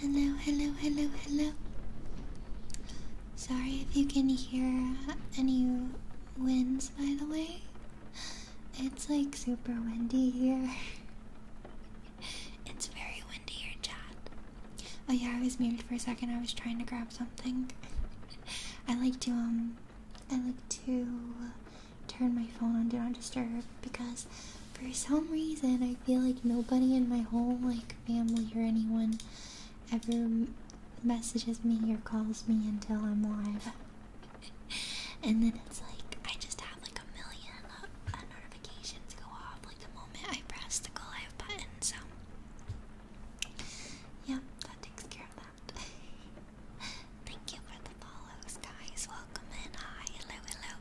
Hello. Hello, hello, hello, hello. Sorry if you can hear any winds, by the way. It's like super windy here. it's very windy here, chat. Oh yeah, I was muted for a second. I was trying to grab something. I like to um I like to turn my phone on Do Not Disturb because for some reason I feel like nobody in my whole like family or anyone ever messages me or calls me until I'm live. and then it's like I just have like a million uh, notifications go off like the moment I press the go live button. So yeah, that takes care of that. Thank you for the follows, guys. Welcome in. Hi, hello, hello.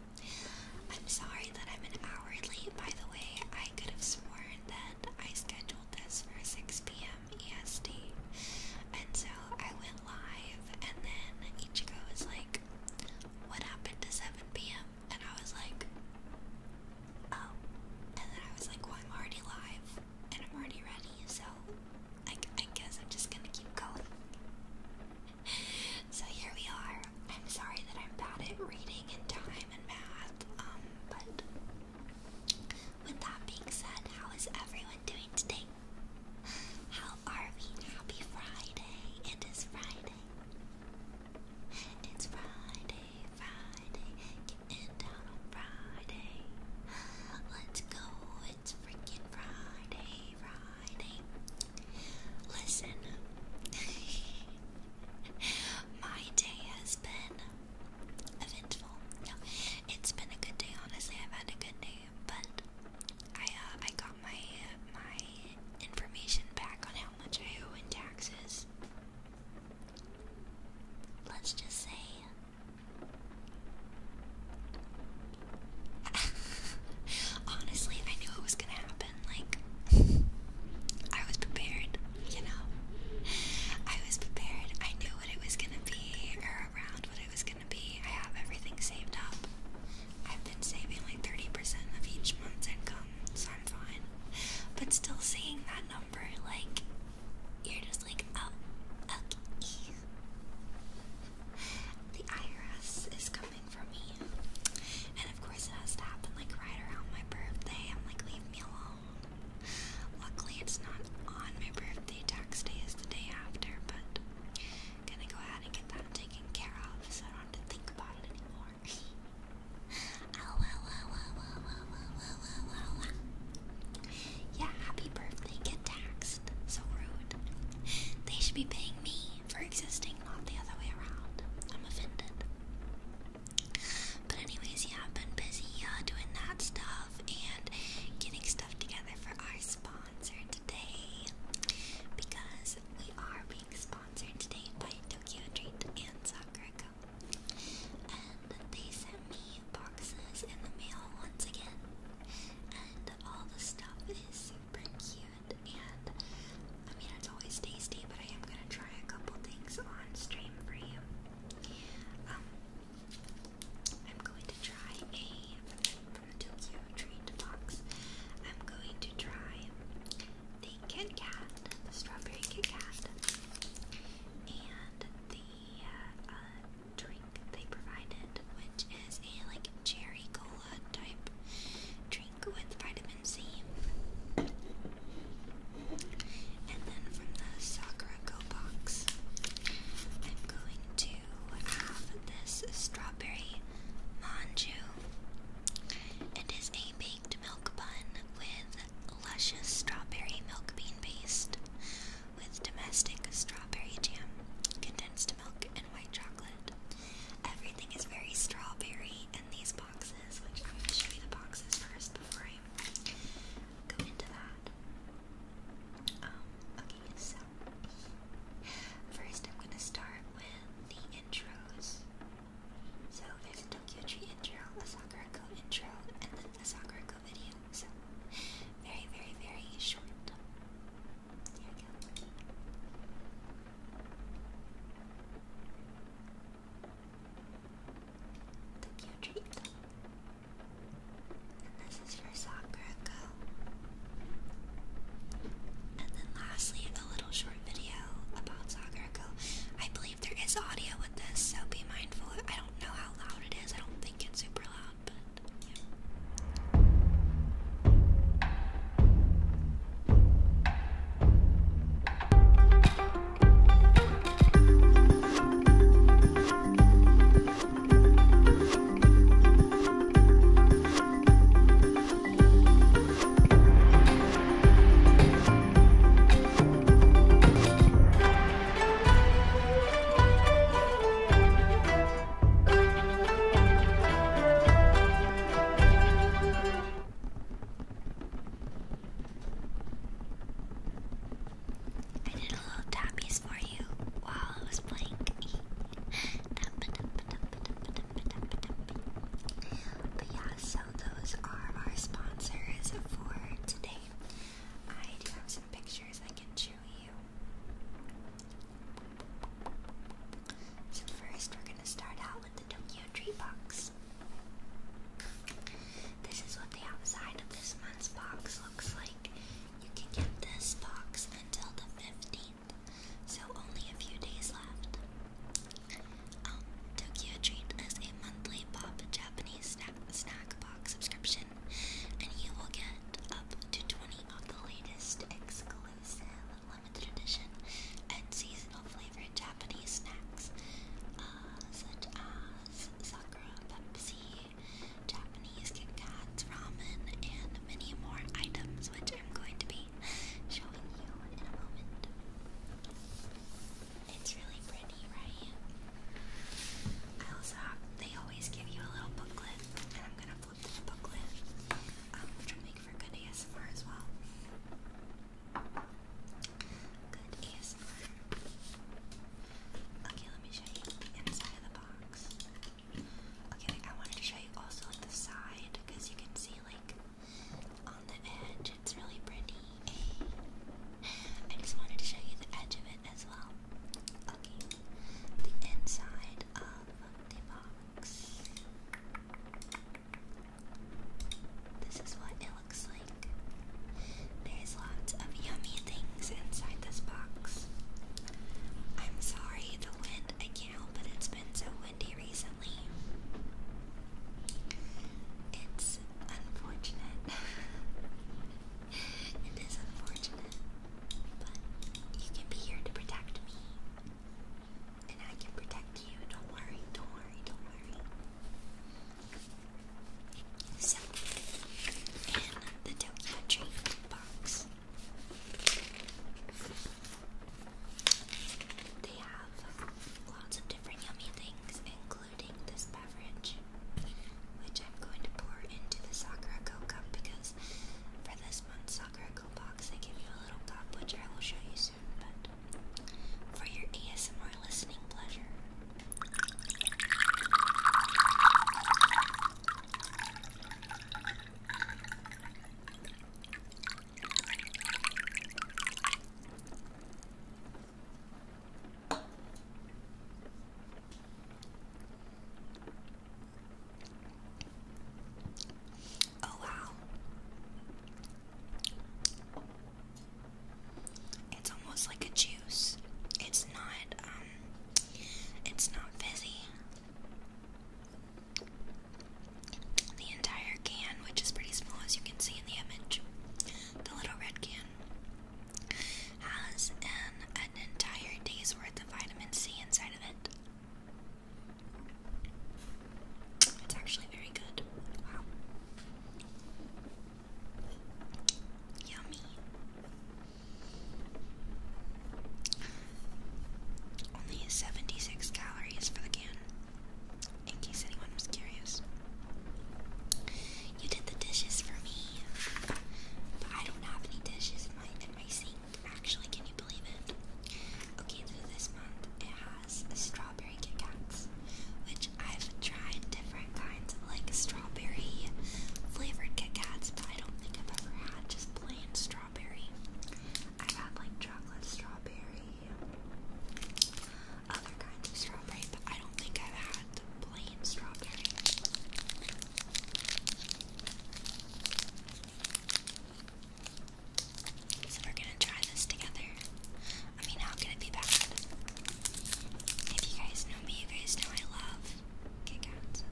I'm sorry that I'm an hour late, by the way. I could have sworn that I scheduled this for 6 p.m. EST. And so I went live, and then Ichigo was like, What happened to 7 p.m.? And I was like, Oh. And then I was like, Well, I'm already live and I'm already ready, so I, guess I'm just gonna keep going. so here we are. I'm sorry that I'm bad at reading and time and math, um, but with that being said, how is everyone doing today? How are we? Happy Friday! It is Friday. It's Friday. Friday. Getting down on Friday. Let's go. It's freaking Friday, Friday. Listen, my day has been eventful. it's been a good day. Honestly, I've had a good day, but I uh, I got my my information back on how much I owe in taxes. Let's just say Honestly, I knew it was gonna happen. Like, I was prepared, you know? I was prepared. I knew what it was gonna be, around what it was gonna be. I have everything saved up. I've been saving like 30% of each month's income, so I'm fine. But still seeing that number like you're just like, oh, The IRS is coming for me, and of course it has to happen like right around my birthday. I'm like, leave me alone. Luckily, it's not on my birthday. Tax day is the day after, but gonna go ahead and get that taken care of, so I don't have to think about it anymore. Yeah, happy birthday. Get taxed. So rude. They should be paying me for existing, not the other way around. I'm offended. But anyways, yeah, I've been busy uh, doing that stuff and getting stuff together for our sponsor today because we are being sponsored today by Tokyo Treat and Sakura and they sent me boxes in the mail once again. And all the stuff is super cute. And I mean, it's always tasty, but I am gonna try a couple things on stream for you. Um, I'm going to try a from the Tokyo Treat box. I'm going to try the Kit Kat, the strawberry Kit Kat, and the the uh, drink they provided, which is a like cherry cola type drink with vitamin C. And then from the Sakura Go box, I'm going to have this strawberry manju. It is a baked milk bun with luscious strawberry milk bean paste, with domestic strawberry jam, condensed milk, and white chocolate. Everything is very strawberry in these boxes, which I'm going to show you the boxes first before I go into that. Um, okay, so first I'm going to start with the intros. So there's a Tokyo Tree intro, a Sakura intro, and then a Sakura taco videos. Very, very, very short. Here we go. Tokyo treat. this is for Sakura And then lastly, a little short video about Sakura I believe there is audio with this, so be mindful. I don't know how loud it is. I don't don't super loud, I did a little tappies for you while I was playing. But yeah, so those are our sponsors for today pictures I can show you. So first we're gonna start out with the Tokyo Tree Box. This is what the outside of this month's box looks like. You can get this box until the 15th, so only a few days left. Tokyo um, Treat is a monthly pop Japanese snack, snack box subscription and you will get up to 20 of the latest exclusive, limited edition, and seasonal flavored Japanese snacks, uh, such as sakura, Pepsi, Japanese Kit Kats, ramen, and many more items, which I'm going to be showing you in a moment. It's really I also they always give you a little booklet, and I'm gonna flip through booklet, um, which will make for good ASMR as well. Good ASMR. Okay, let me show you the inside of the box. Okay, I wanted to show you also like the side because you can see like on the edge, it's really pretty. I just wanted to show you the edge of as well. Okay, the inside of the box. This is what it looks like. There's lots of yummy things inside this box. I'm sorry, the wind, I can't help it, it's been so windy recently. It's unfortunate. It is unfortunate, but you can be here to protect me. And I can protect you. Don't worry, don't worry, don't worry. So, in the Tokyo Dream box, they have lots of different yummy things, including this beverage, which I'm going to pour into the Sakura cup because for this month's Sakura Go box, I give you a little cup, which I will show you soon, but for your ASMR listening pleasure. Oh, wow. It's almost like a juice. It's not, um, it's not fizzy. The entire can, which is pretty small as you can see in the image, the little red can, has an, an entire day's worth of vitamin C inside of it. It's actually very good. Wow. Yummy. Only 76 calories for the can, in case anyone was curious. You did the dishes for me. But I don't have any dishes in my, in my sink, actually. Can you believe it? Okay, so this month it has strawberry Kit Kats, which I've tried different kinds like strawberry flavored Kit Kats, but I don't think I've ever had just plain strawberry. I've had like chocolate strawberry, other kinds of strawberry, but I don't think I've had the plain strawberry. So we're gonna try this together. I mean, how can it be bad? If you guys know me, you guys know I love Kit Kats.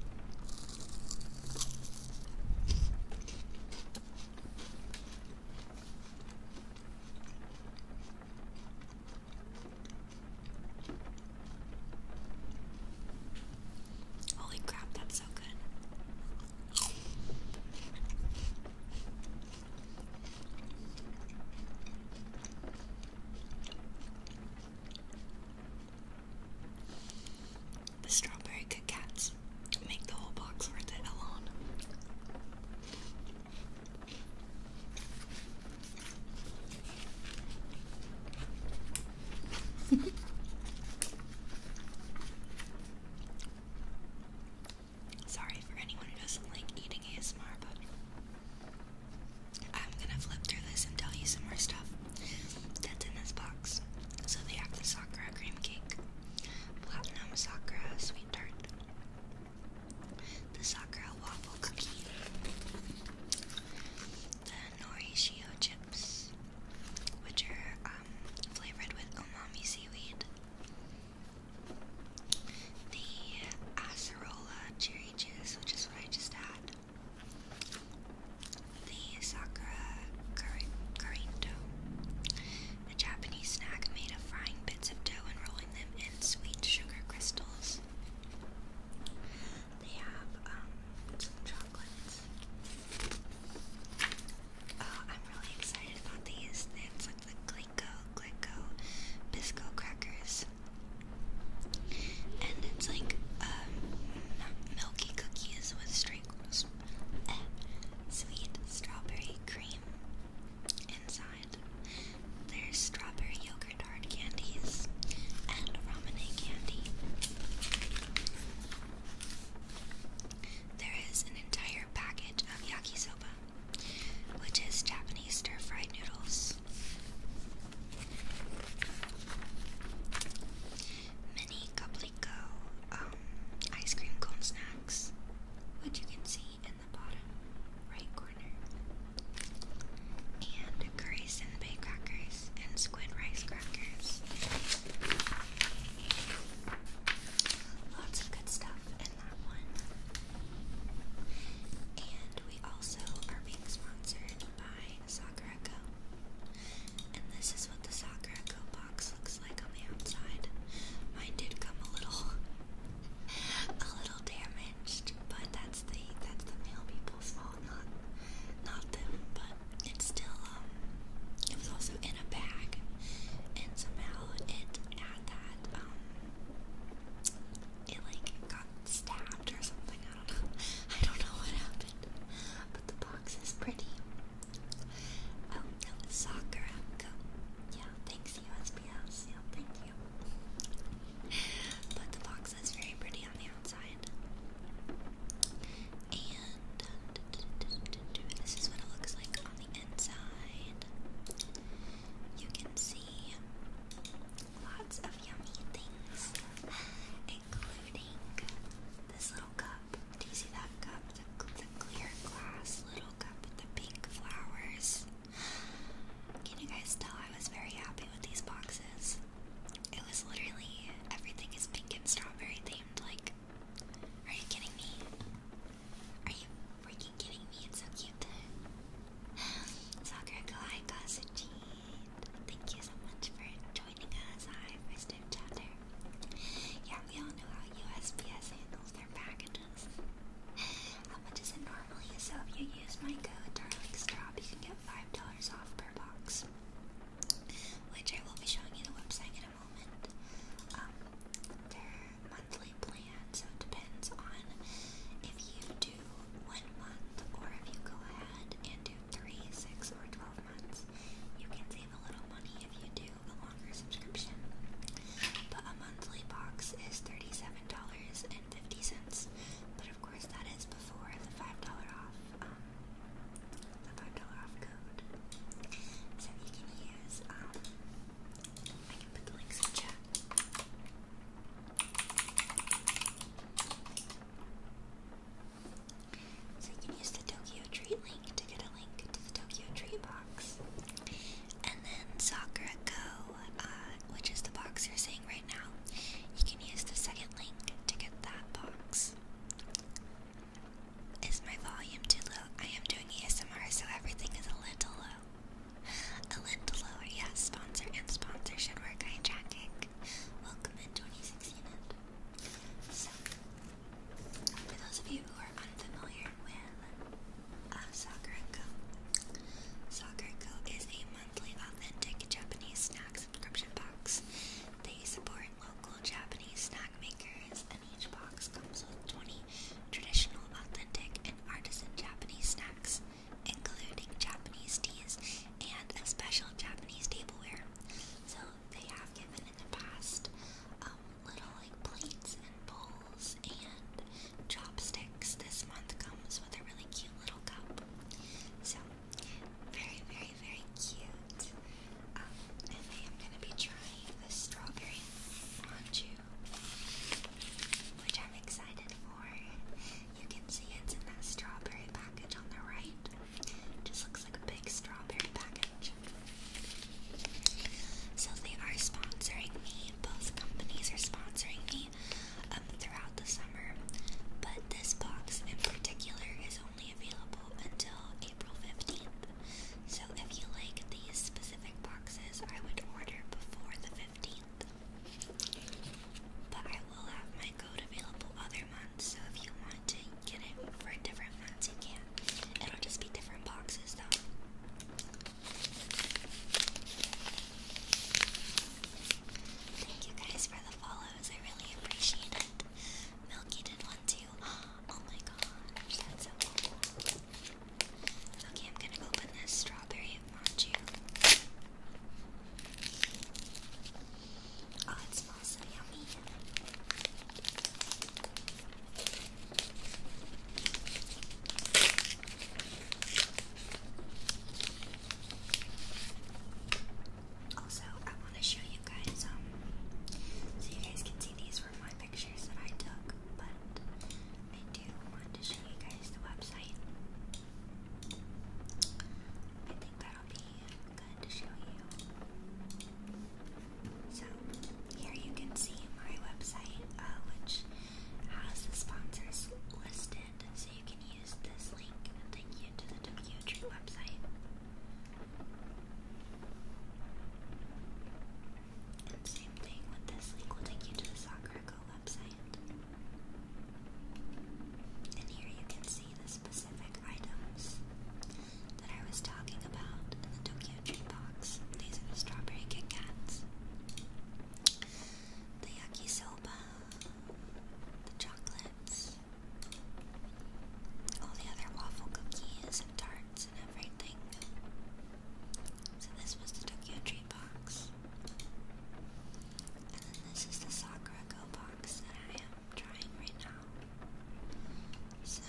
Holy crap, that's so good. The strawberry Kit make the whole box worth it alone. Sorry for anyone who doesn't like eating ASMR, but I'm gonna flip through this and tell you some more stuff that's in this box. So they have the Sakura cream cake, platinum Sakura sweet tart, the Sakura waffle cookie, the Norishio chips, which are um, flavored with umami seaweed, the Acerola cherry juice, which is what I just had, the Sakura Curry Carito, a Japanese snack made of frying bits of dough and rolling them in sweet sugar crystals. They have um, some chocolates. Oh, I'm really excited about these. It's like the Glico Glico Bisco crackers. And it's like um milky cookies with straight uh, sweet strawberry cream inside. There's strawberry yogurt hard candies and ramen candy. There is an entire package of yakisoba, which is Japanese stir-fried noodles. Mini Kaplico um, ice cream cone snacks, which you can see in the bottom right corner corner. And Grayson Bay crackers and squid rice crackers. Lots of good stuff in that one. And we also are being sponsored by Sakura Go. And this is what the Sakura Go box looks like on the outside. Mine did come a little a little damaged, but that's the that's the male people's fault not them, but it's still um, it was also in a bag and somehow it had that um, it like got stabbed or something, I don't know. I don't know what happened. But the box is pretty. Oh no, Sakura Yeah, thanks USPS. Yeah, thank you. But the box that's very pretty on the outside. And this is what it looks like on the inside. You can see lots of yummy things, including this little cup. Do you see that cup? The, the clear glass little cup with the pink flowers. Can you guys tell I was very happy with these boxes? It was literally everything is pink and strawberry themed. Like, are you kidding me? Are you freaking kidding me? It's so cute. Sakura Kalai Kasuchi, thank you so much for joining us. Hi, first time chatter. Yeah, we all know how USPS handles their packages. How much is it normally? So if you use my code Darling Strop, five dollars off per box, which I will be showing you the website in a moment. Um, their monthly plan, so it depends on if you do one month or if you go ahead and do three, six, or twelve months. You can save a little money if you do a longer subscription. But a monthly box is thirty-seven dollars and fifty cents. But of course of course, that is before the $5 off, um, the $5 off code. So you can use, um, put the links in chat. So you can use the Tokyo Tree link to get a link to the Tokyo Tree box. And then Sakura Go, uh, which is the box you're seeing right right you can use the second link to get that box. Is my volume too low? I am doing ASMR, so everything is a little low. A little lower, yes. Sponsor and sponsor should work. Hi, Jackik. Welcome in 2016. for those of you who are unfamiliar with uh, Soccer Co, Soccer Co is a monthly authentic Japanese snack subscription box. They support local Japanese snack makers, and each box comes with 20 traditional, authentic, and artisan Japanese snacks, including Japanese teas and a special Japanese tableware. So they have given in the past um, little like plates and bowls and chopsticks. This month comes with a really cute little cup. So very, very, very cute. Um, I am going to be trying the strawberry manju, which I'm excited for. You can see it's in that strawberry package on the right. Just looks like a big strawberry package. So they are sponsoring me. Both companies are sponsoring me. Um, throughout the summer, but this box in particular is only available until April 15th. So if you like these specific boxes, I would order before the 15th. But I will have my code available other months, so if you want to get it for different months, you can. It'll just be different boxes though. Thank you guys for the follows. I really appreciate it. Milky did one too. Oh my gosh, that's so cool. Okay, I'm gonna open this strawberry manju. Oh, it smells so yummy. Also, I want to show you guys, um, so you guys can see these were my pictures that I took, but I do want to show you guys the website. I think that'll be good to show you. So, here you can see my website, uh, which has the sponsors listed connected, so you can use this link and take you to the Tokyo Tree website. same thing with this link will take you to the Sakura website. And here you can see the specific items that I was talking about in the Tokyo Tree box. These are the strawberry Kit Kats the yakisoba, the chocolates, all the other waffle cookies and tarts and everything. So this was the Tokyo Tree box. And then this is the Sakura Go box that I am trying right now. So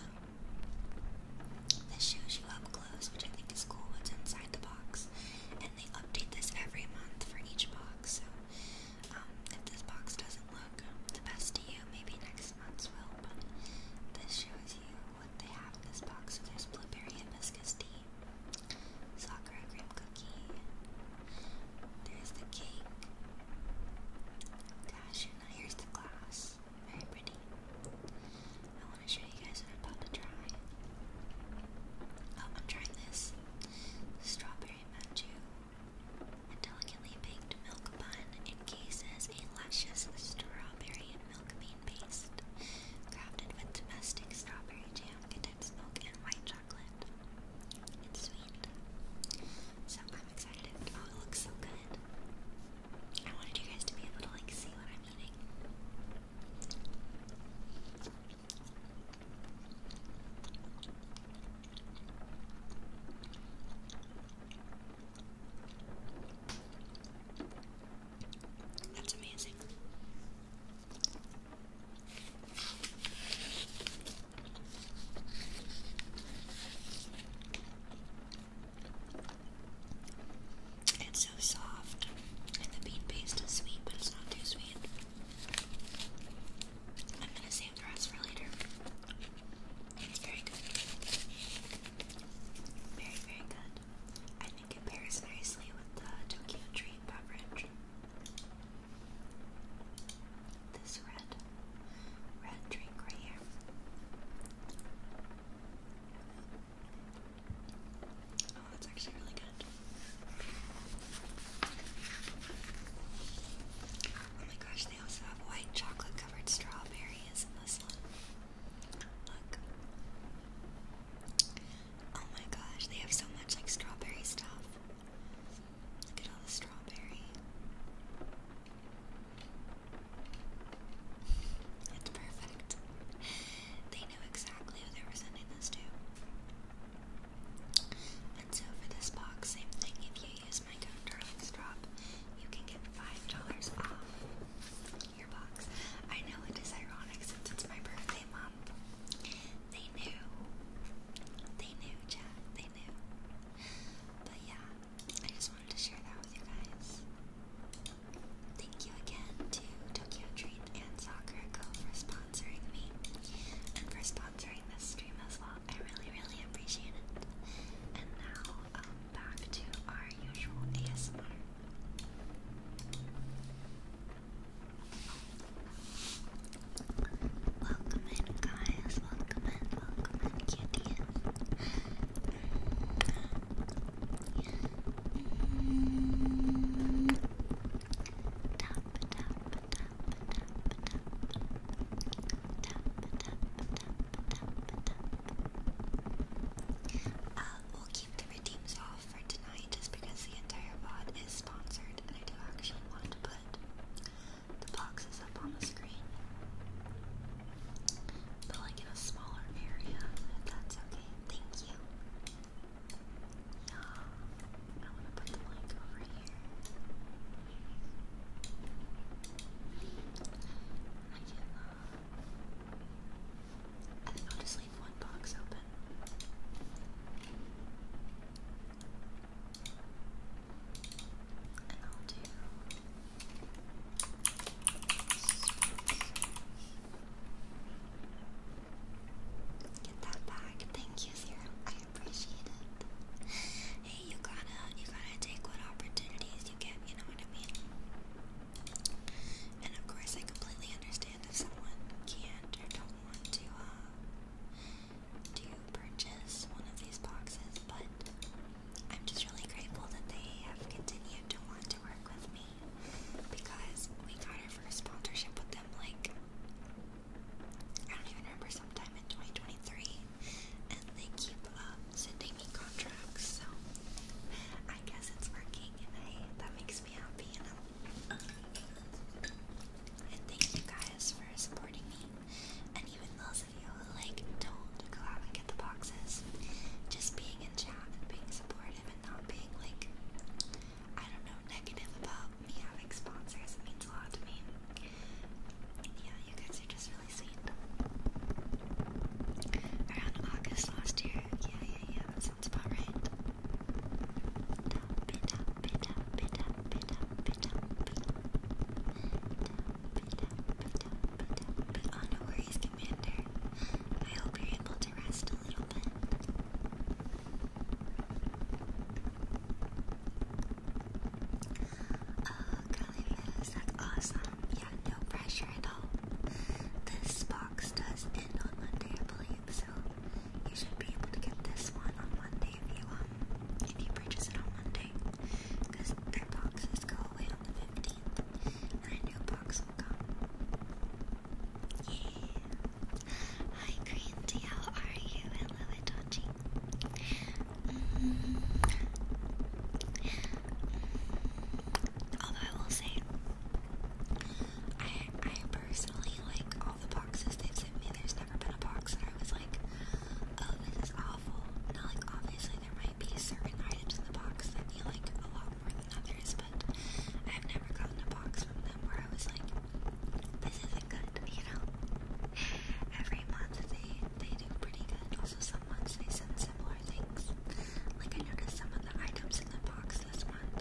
this shows you up close, which I think is cool what's inside the box. And they update this every month for each box. So um, if this box doesn't look the best to you, maybe next month's will, but this shows you what they have in this box. So there's blueberry hibiscus tea, sakura cream cookie, there's the cake, gosh, and now here's the glass. Very pretty. I want to show you guys what I'm about to try. Oh, I'm trying this strawberry a delicately baked milk bun encases a luscious strawberry and milk bean paste, crafted with domestic strawberry jam, condensed milk, and white chocolate. It's sweet. So I'm excited. Oh, it looks so good. I wanted you guys to be able to like see what I'm eating. That's amazing. It's so soft, and the bean paste is sweet, but it's not too sweet. I'm gonna save the rest for later. very good. Very, very good. I think it pairs nicely with the Tokyo Dream beverage. This red, red drink right here. Oh, that's actually really good. Oh my gosh, they also have white chocolate covered strawberries in this one. Look. Oh my gosh, they have so much like strawberry stuff. Look at all the strawberry. It's perfect. They knew exactly who they were sending this to. And so for this box, thing, if you use my code DarlingStrop, you can get $5 off your box. I know it is ironic since it's my birthday month. They knew. They knew, Jack. They knew. But yeah, I just wanted to share that with you guys. Thank you again to Tokyo Treat and Sakura Go for sponsoring me and for sponsoring this stream as well. I really, really appreciate it. And now, um, back to our usual ASMR. Welcome in, guys. Welcome in, welcome in, cuties. Uh, will keep the redeems off for tonight just because the entire VOD is sponsored and I do actually want to put the boxes up on the screen. But like in a smaller area, that's okay. Thank you. Yeah, I want to put the light over here. I can, uh, I think I'll just leave one box open. And I'll do Get that back. Thank you, Zero. I appreciate it. Hey, you gotta, you gotta take what opportunities you get. You know what I mean. And of course, I completely understand if someone can't or don't want to uh, to purchase one of these boxes, but I'm just really grateful that they have continued to want to work with me because we got our first sponsorship with them like I don't even remember, sometime in 2023, and they keep um, sending me contracts, so I guess it's working, and that makes me happy, And thank you guys for supporting me, and even those of you who, like, don't go out and get the boxes, just being in chat and being supportive and not being, like, I don't know, negative about me having sponsors. It means a lot to me. Yeah, you guys are just really sweet. Around August last year. Yeah, yeah, yeah, that sounds about right. Oh, no worries, Commander. I hope you're able to rest a little bit curly lips, that's awesome. Yeah, no pressure at all. This box does end on Monday, I believe, so you should be able to get this one on Monday if you um if you purchase it on Monday. Because their boxes go away on the fifteenth, and a new box will come. Yeah. Hi, Green Tea, how are you? Hello, Itochi. Mm. Although I will say, I I personally like all the boxes they've sent me. There's never been a box that I was like, oh, this is awful. Now, like obviously there might be certain items in the box that you like a lot more than others, but I've never gotten a box from them where I was like, this isn't good, you know? Every month they, they do pretty good. Also, some months they send similar things. Like, I noticed some of the items in the box this month,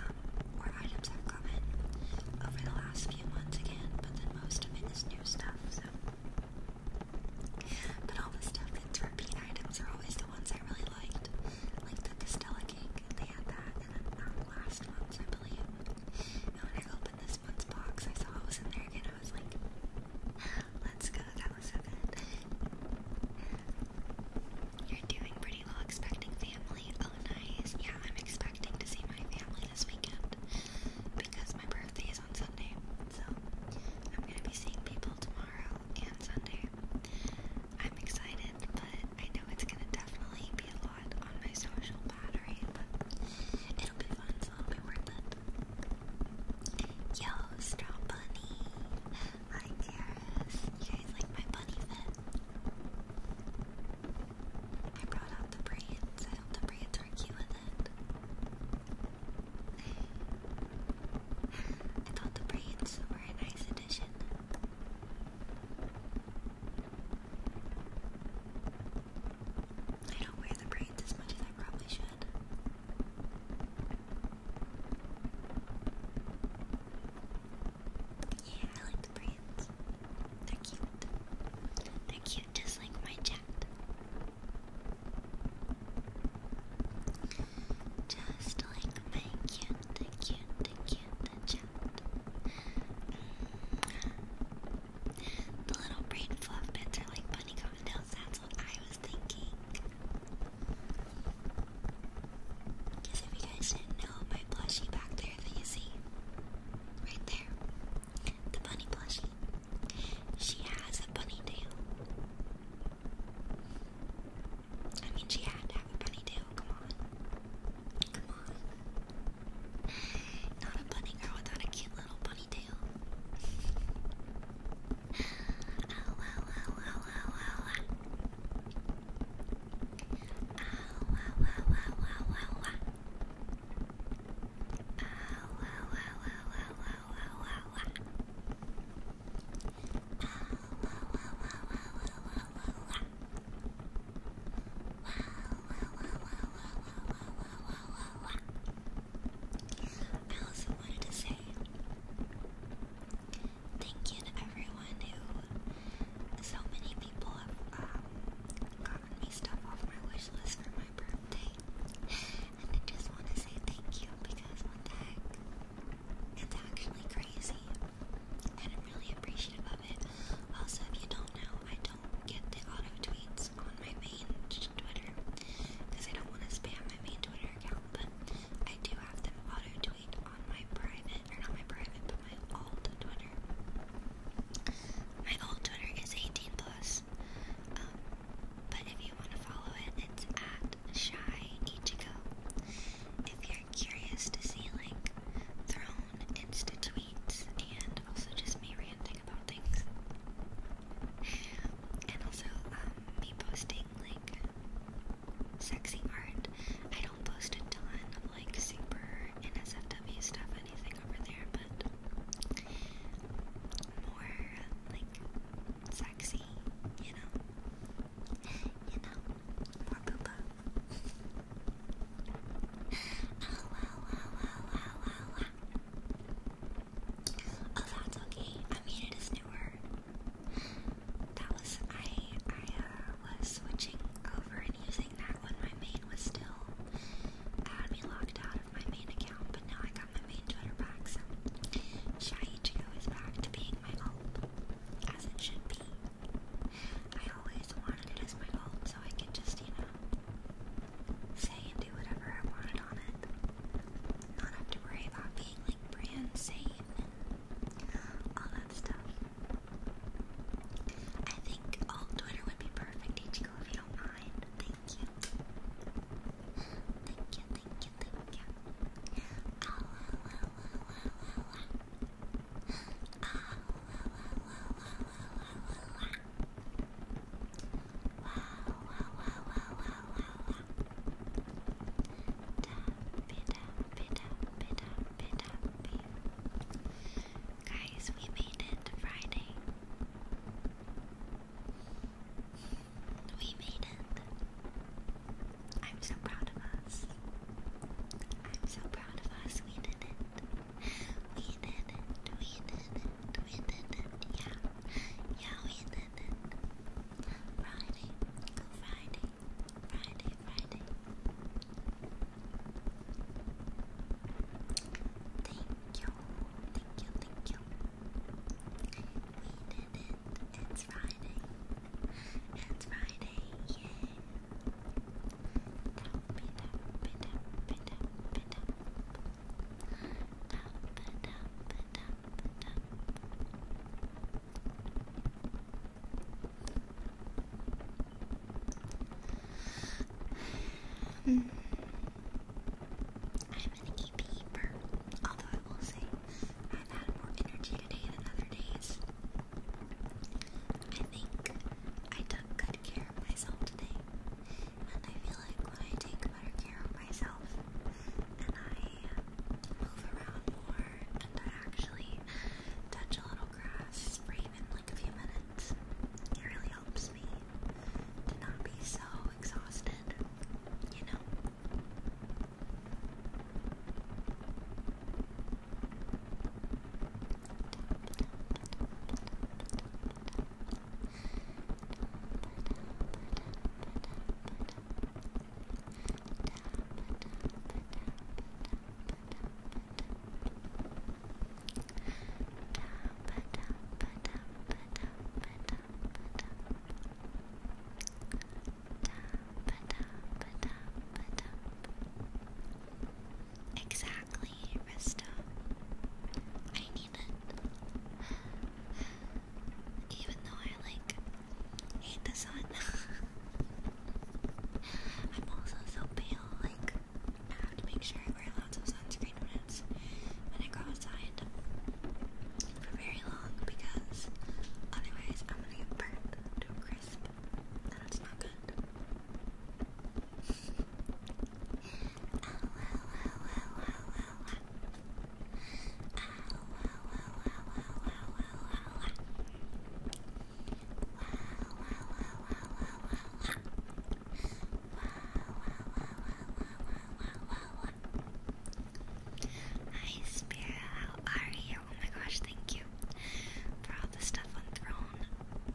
um, or items have come in over the last few months again, but then most of it is new stuff, so. But all the stuff that's repeat items are always the ones I really liked. Like the Castella cake, they had that last month's, I believe. And when I opened this month's box, I saw it was in there again. I was like, let's go, that was so You're doing pretty well expecting family. Oh, nice. Yeah, I'm expecting to see my family this weekend because my birthday is on Sunday. So I'm going to be seeing people tomorrow and Sunday. I'm excited, but I know it's going to definitely be a lot lot on my social battery, but it'll be fun, so it'll be worth it. Yo, Straw Bunny! Hi, Karis. You guys like my bunny fit? I brought out the braids. the braids were cute with it. I thought the braids were a nice addition. I don't wear the braids as much as I probably should. Yeah, I like the braids. They're cute. They're cute just like my chat. Just like my cute, cute, cute chat. The little brain fluff bits are like bunny cocktails, that's what I was thinking. Because if you guys didn't know, my plushie back there that you see, right there, the bunny plushie, she has a bunny tail. I mean, she had to have a bunny tail, come on. Come on. Not a bunny girl without a cute little bunny tail. Ow, ow, ow, ow, ow, ow. Ow, ow, ow, ow, ow, ow. Ow, ow, ow, ow, ow, ow, ow, ow. Ow, ow, ow, ow, ow, ow, ow, ow. I also wanted to say thank you to everyone who, so many people um, gotten me stuff off my wish list for my birthday. And I just want to say thank you because what the It's actually crazy and I'm really appreciative of it. Also, if you don't know, I don't get the auto tweets on my main Twitter because I don't want to spam my main Twitter account, but I do have them auto tweet on my private, or not my private, but my old Twitter. My old Twitter is 18 plus, um, but if you want to follow it, it's at shy ichigo. If you're curious to see like throne insta tweets and also just me ranting about things. And also um, me posting like sexy art. I don't post a ton of like super NSFW stuff, anything over there, but more like sexy, you know, you know, more poopa. Oh, that's okay. I mean, it is newer. That was I. I was switching over and using that one. my main was still had me locked out of my main account, but now I got my main Twitter back. So Shai Ichigo is back to being my old, as it should be. I always wanted it as my home so I could just, you know, say and do whatever I wanted on it. Not have to worry about being like brand safe and all that stuff. I think all Twitter would be perfect, Ichigo, if you don't mind. Thank you. Thank you, thank you, thank you. Oh, la, la, la, la, Guys, we made it to Friday. We made it. I'm so proud of us. I'm so proud of us. We did it. We did it, we did it, we did it, yeah. Yeah, we did it. Friday, Friday, Friday, Friday. Thank you, thank you, thank you. We did it, it's Friday. It's Friday. Dang it. Dump up, it up, up, it up. Dump it up, it up, it up. Mm. I'm an EP although I will say I've had more energy today than other days. I think I took good care of myself today, and I feel like when I take better care of myself and I move around more and I actually touch a little grass for even like a few minutes, it really helps me to not be so exhausted, you know. Exactly. Exactly, Rista. I need it. Even though I like hate the sun. I'm also so pale, like I have to make sure I wear lots of sunscreen when it's I go outside for very long because otherwise I'm gonna get burnt to a crisp. that's not good. Hi Spira, how are you? Oh my gosh, thank you for all the stuff on Throne.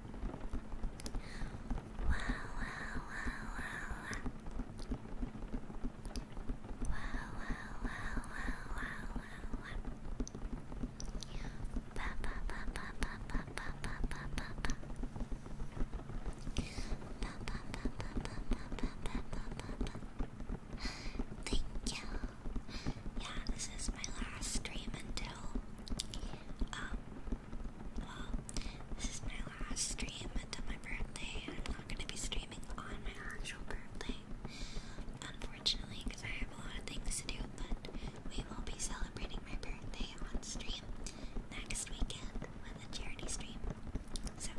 Wow, wow, wow, wow. Wow, wow, wow, wow, wow, wow. Ba, ba, ba, ba, ba, ba, ba, ba, ba, ba, ba. Ba, ba, ba, ba, ba, ba, ba, ba, ba, ba. Thank you yeah, this is my last stream until, um, well, this is my last stream until my birthday. and I'm not gonna be streaming on my actual birthday, unfortunately, because I have a lot of things to do, but we will be celebrating my birthday on stream next weekend on the charity stream. So,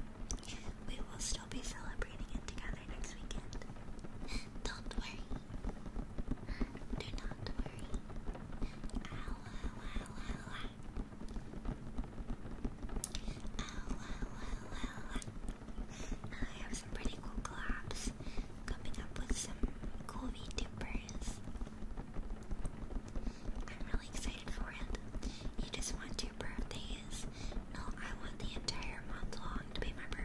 we will still be celebrating it together next weekend. Don't worry. Do not worry. I have some pretty cool collabs coming up with some cool VTubers. I'm really excited for it. You just want two birthdays? No, I want the entire month long to be my birthday.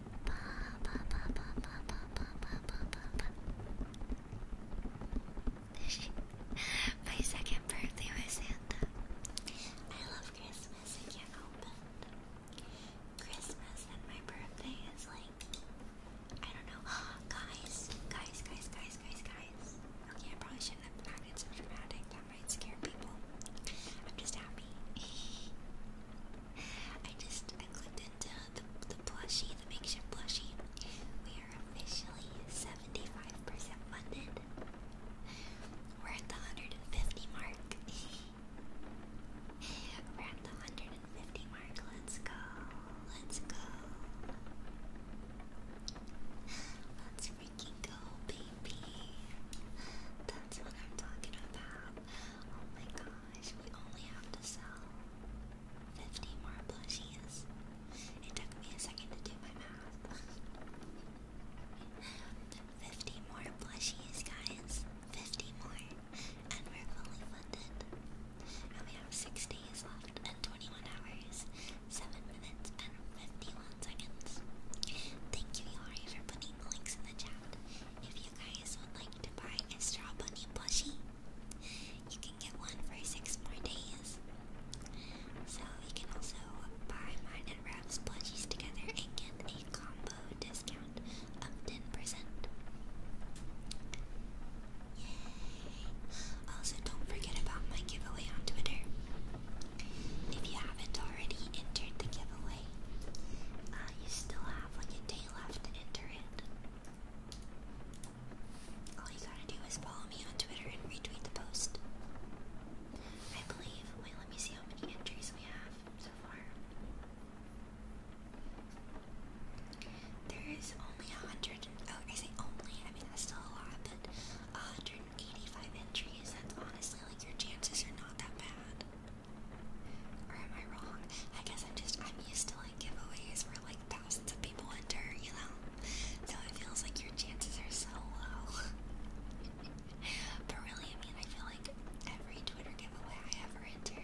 My second birthday with Santa. I love Christmas, I can't help it. Christmas and my birthday is like, I don't know. Guys, guys, guys, guys, guys, guys. Okay, I probably shouldn't have acted so dramatic. That might scare people. I'm just happy. I just I clipped and uh, the, the plushie, the makeshift plushie, we are officially 75% funded. We're at the 150 mark. We're at the 150 mark. Let's go. Let's go. Let's freaking go, baby. That's what I'm talking about. Oh my god gosh, we only have to sell 50 more plushies. It took me a second to do my math. 50 more plushies, guys. 50 more. And we're fully funded. And we have 6 days left and 21 hours, 7 minutes, and 51 seconds. Thank you, Yari, for putting links in the chat. If you guys would like to buy a straw bunny plushie. You can get one for six more days. So you can also buy mine and Rav's plushies together and get a combo discount of 10%. Also, don't forget about my giveaway on Twitter. If you haven't already entered the giveaway, uh, you still have like a day left to enter it. All you gotta do is follow me on Twitter and retweet the post. I believe. Wait, let me see how many entries we have so far. There is only a hundred. Oh, I say only. I mean that's still a lot, but 185 entries. That's honestly like your chances are not that bad. Or am I wrong? I guess I'm just, I'm used to like giveaways where like thousands of people enter, you know? So it feels like your chances are so low. but really, I mean, I feel like every Twitter giveaway I ever enter,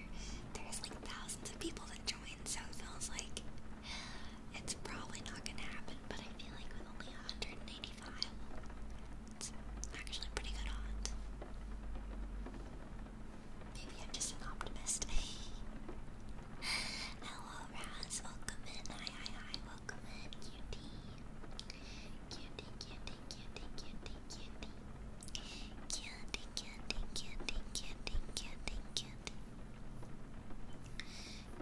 there's like thousands of people that join, so it feels like it's probably not gonna happen, but I feel like with only 185, it's actually pretty good odds. Maybe I'm just an optimist. Hello, Welcome in. Hi, hi, hi. Welcome in, cutie. Cutie, cutie, cutie, cutie, cutie. Cutie, cutie, cutie, cutie, cutie, cutie. Cutie,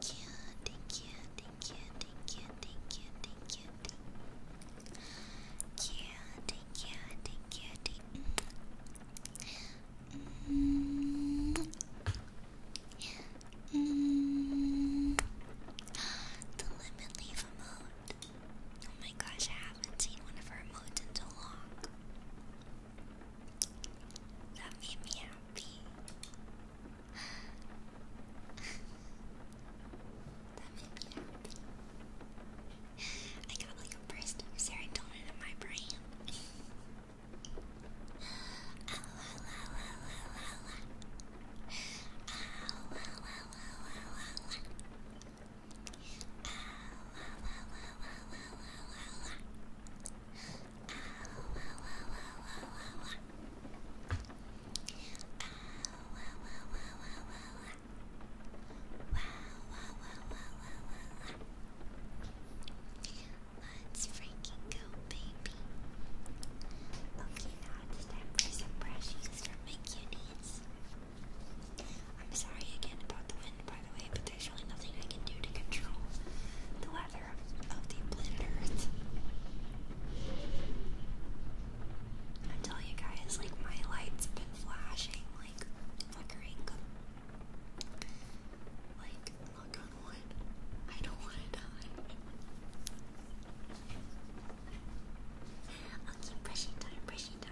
cutie, cutie, cutie, cutie, cutie. Cutie, cutie, cutie. Mm. The lemon leaf Oh my gosh, I haven't seen one of her emotes in so long. That made me happy. that made me happy. I got like a burst of serotonin in my brain. Ow, ow, ow, ow, ow, ow, Let's freaking go, baby. Okay, now it's time for some brushies for my cuties. I'm sorry again about the wind, by the way, but there's really nothing I can do to control the weather of the planet Earth. I tell you guys, like my light been flashing like flickering. Like, knock on wood. I don't want to die. I'll keep brushing time, brushing time.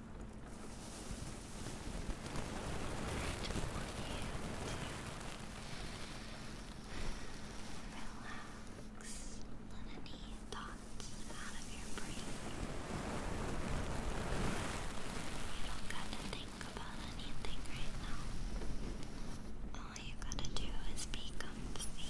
Relax. Let any thoughts out of your brain. You don't got to think about anything right now. All you gotta do is be comfy.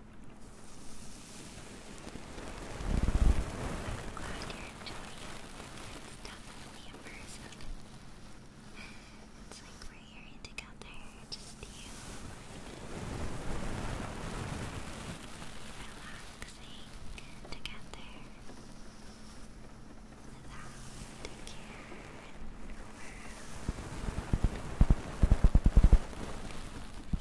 glad you're enjoying it. It's definitely immersive. It's like we're here together, just you relaxing together without a care in the world. So,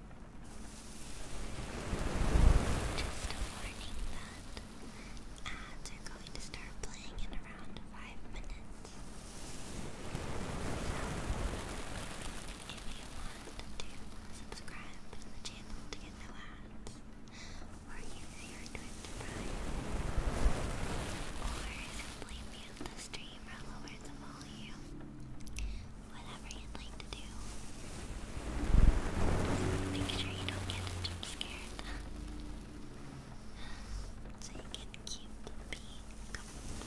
Just a warning that ads are going to start playing in around five minutes. if you want to subscribe to the channel to get no ads, or use your Twitch Prime, or simply mute the stream or lower the volume whatever you'd like to do. make sure you don't get jump scared. so you can keep being comfortable.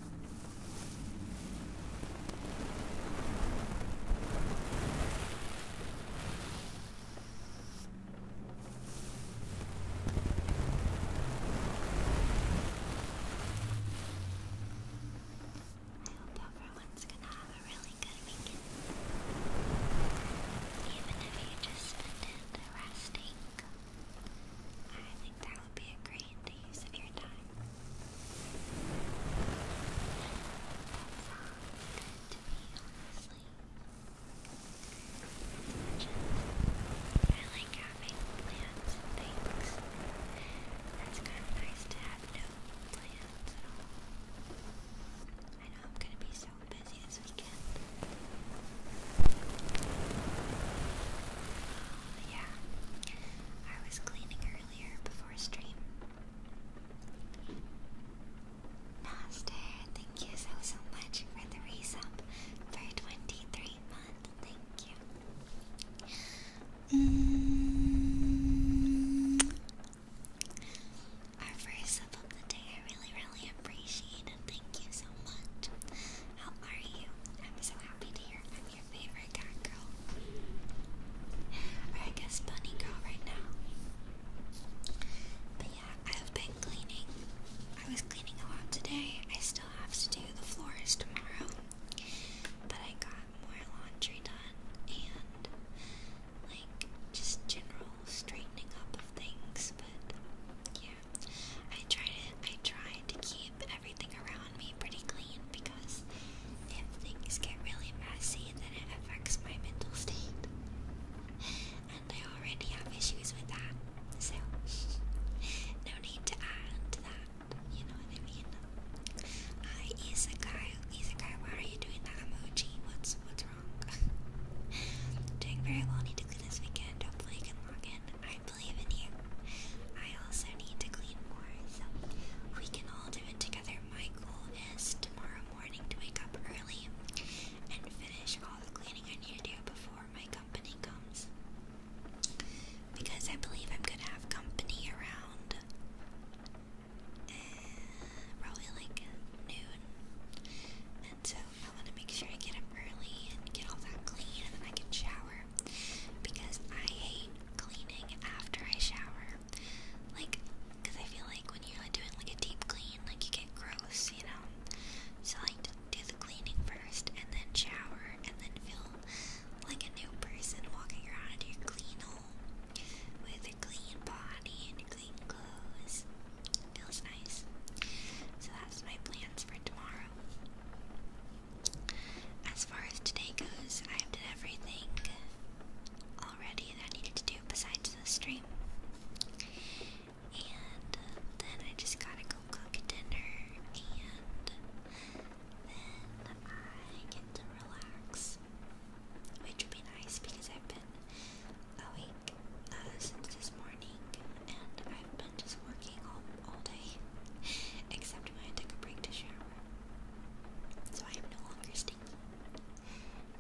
hope everyone's gonna have a really good weekend. Even if you just spend it resting, I think that would be a great use of your time. That's good to me, honestly. I like having plans and things. That's kind of nice to have no plans at all. I know I'm gonna be so busy this weekend. yeah, I was cleaning her before stream. Master, thank you so so much for the resub for 23 months. Thank you. Mm. Our first sub of the day, I really, really appreciate it. Thank you so much. How are you? I'm so happy to hear from you favorite cat girl? I guess bunny girl right now. But yeah, I've been cleaning. I was cleaning a lot today. I still have to do the floors tomorrow. But I got more laundry done and like just general straightening up of things. But yeah, I tried to I tried to keep everything around me pretty clean because if things get really messy, then it affects my mental state. And I already have issues with that, so no need to add to that. You know what I mean? Uh, isekai, isekai, why are you doing that emoji? What's what's wrong? doing very well. Need to clean this weekend. Hopefully, I can log in. I believe in you. I also need to clean more, so we can all all together. My goal is tomorrow morning to wake up early and finish all the cleaning I need to do before my company comes. Because I believe I'm gonna have company around eh, probably like noon. And so I want to make sure I get up early and get all that clean and then I can shower because I hate cleaning after I shower. Like, I feel like when you're like doing like a deep clean, like you get gross, you know. So like do the cleaning first and then shower and then feel like a new person walking around in your clean home with a clean body and clean clothes. Feels nice. So that's my plans for tomorrow. As far as today goes, I have done everything already that I needed to do besides the stream. And uh, then I just gotta go cook dinner, and then I get to relax, which would be nice because I've been awake uh, since this morning, and I've been just working all all day. Except when I took a break to shower. So I am no longer stinky.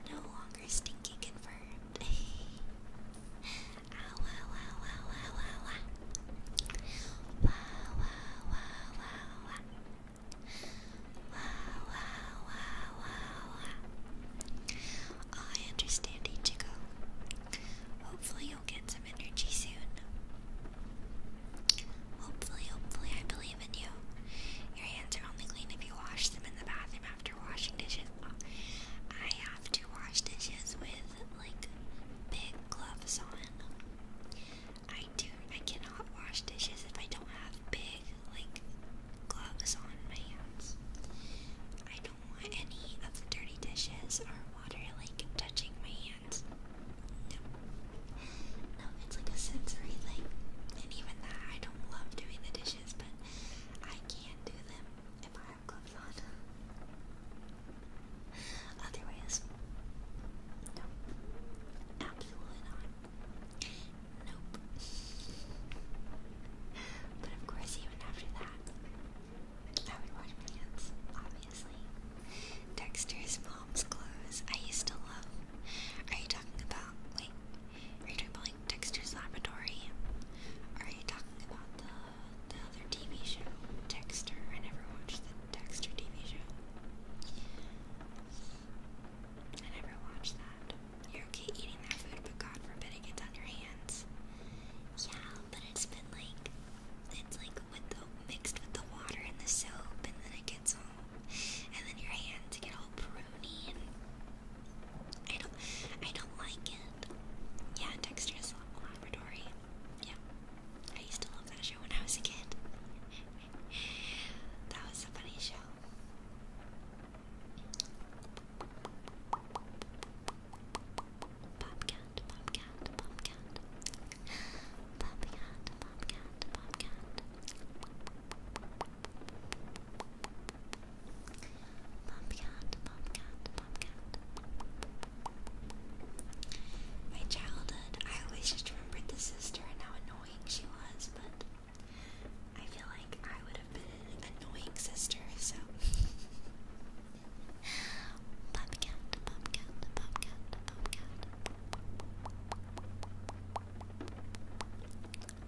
No longer stinky confirmed. ow, ow, ow, ow, ow, ow, ow. Wow, wow, wow, wow, wow. Wow, wow, wow, wow, wow. Oh, I understand, Ichigo. Hopefully, you'll get some energy soon. Hopefully, hopefully, I believe in you. Your hands are only clean if you wash them in the bathroom after washing dishes. I have to wash dishes with like big gloves on. I do. I cannot wash dishes if I don't have big like gloves on my hands. I don't want any of the dirty dishes or water like touching my no. No, it's like a sensory thing. And even that, I don't love doing the dishes, but I can not do them if I have gloves on. Otherwise, no. Absolutely not. Nope. But of course, even after that, I would wash my hands, Dexter's mom's clothes. I used to love. Are you talking about. Wait. Are you talking about like Dexter's Laboratory? are you talking about the, the other TV show? Dexter. I never watched the Dexter TV show. I never watched that. You're okay eating that food, but God forbid it gets on your hands. Yeah, but it's been like. It's like with the mixed with the water and the soap, and then it gets all, and then your hands get all pruny. And I don't, I don't like it. Yeah, Dexter's Laboratory. Yeah, I used to love that show when I was a kid. that was a funny show. Popcat, popcat, popcat, popcat, Bobcat, Bobcat. Bobcat, My childhood, I always just remembered the sister and how annoying she was, but I feel like I would have been an annoying sister, so. Bobcat, Bobcat, Bobcat.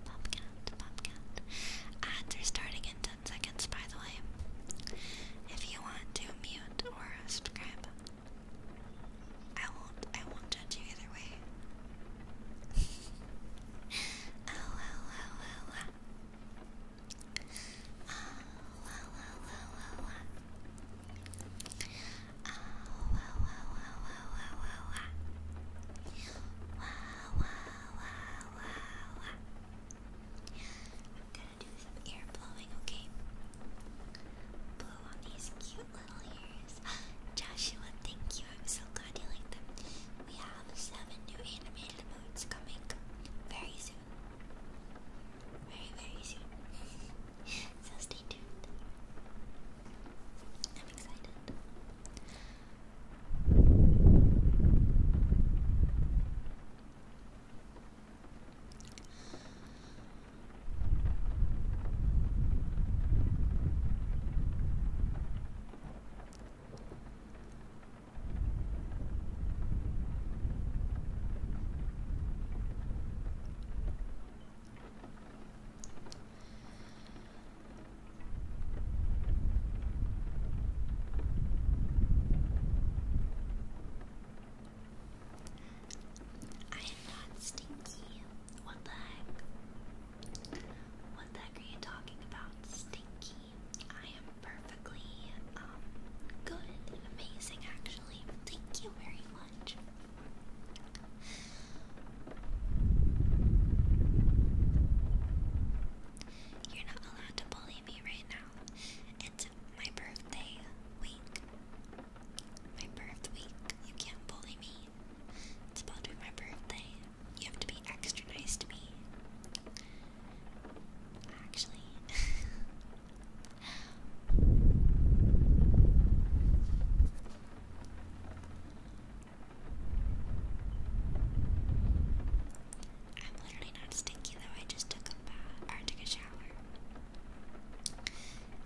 Bobcat, Bobcat. Ads are starting in 10 seconds, by the way. If you want to mute or subscribe, I won't. I won't judge you either way. oh, oh, oh, oh, oh. Oh, oh, oh, oh, oh. I'm gonna do some ear blowing, okay? Blow on these cute little ears. Joshua, thank you. I'm so glad you like them. We have seven new animated modes coming very soon. very soon. So stay tuned. I'm excited. I am not stinky. What the heck? What the heck are you talking about? Stinky. I am perfectly um, good and amazing actually. Thank you very much. You're not allowed to bully me right now. It's my birthday week. My birth week. You can't bully me. It's about to be my birthday. You have to be extra nice to me. Actually, I'm literally not stinky though. I just took a bath or took a shower.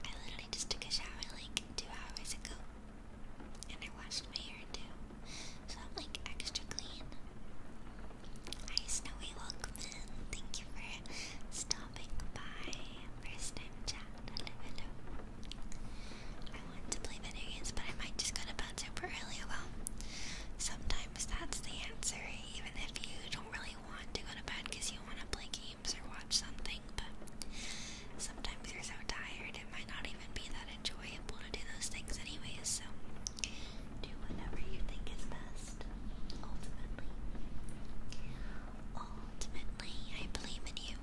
I literally just took a shower like two hours ago, and I washed my hair too, so I'm like extra clean. Hi, Snowy, welcome Thank you for stopping by first time chat. Hello, I want to play video games, but I might just go to bed super early. Well, sometimes that's the answer, even if you don't really want to go to bed because you want to play games or watch something. But sometimes you're so tired, it might not even be that enjoyable to do those things, anyways. So do whatever you think is best, ultimately. Ultimately, I believe in you.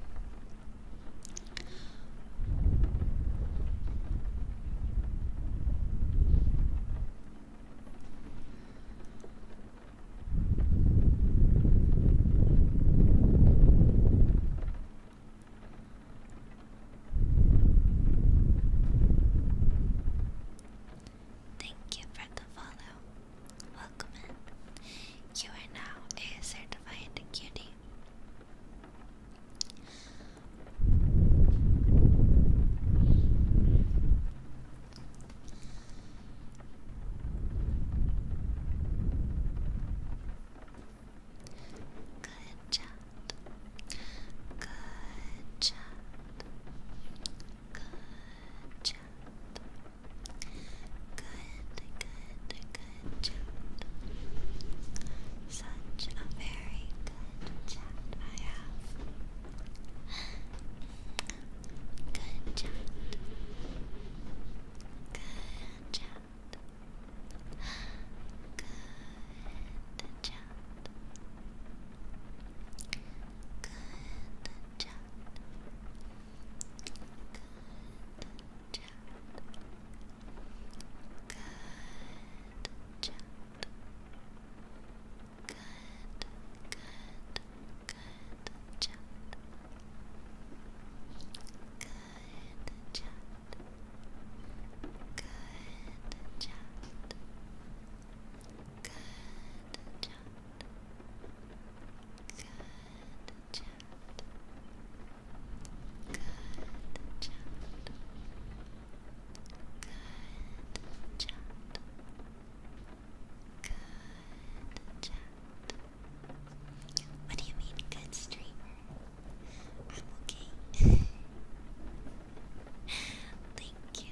Thank you for the follow. Welcome in. You are now a certified cutie. Good chat. Good chat. Good chat good, good chat. Such a very good chat I have. Good chat. Good chat. Good chat. Good chat. Good chat. Good chat. Good chat. Good, good, good chat. Good chat. Good chat. Good chat. Good what do you mean, good streamer? I'm okay. Thank you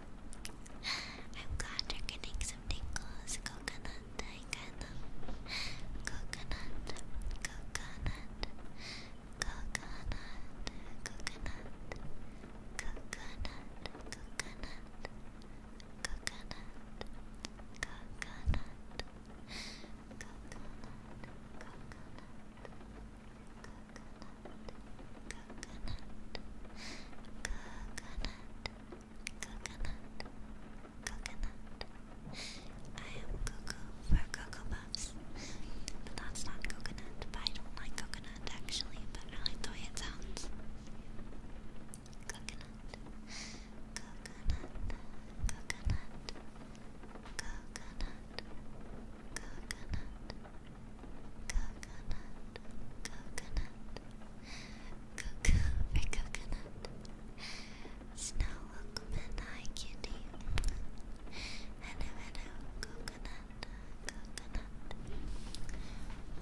I'm glad you're getting some tingles. Coconut, coconut, coconut, coconut, coconut, coconut, coconut, coconut, coconut, coconut, coconut, coconut, coconut, coconut, coconut, coconut, coconut, coconut, coconut coconut, coconut. I am cuckoo for cocoa but that's not coconut. But I don't like coconut actually, but I like the way it sounds. coconut, coconut, coconut, coconut, coconut, coconut, coconut Cuckoo for coconut. Snow welcome and hi kitty. Hello, hello, coconut, coconut.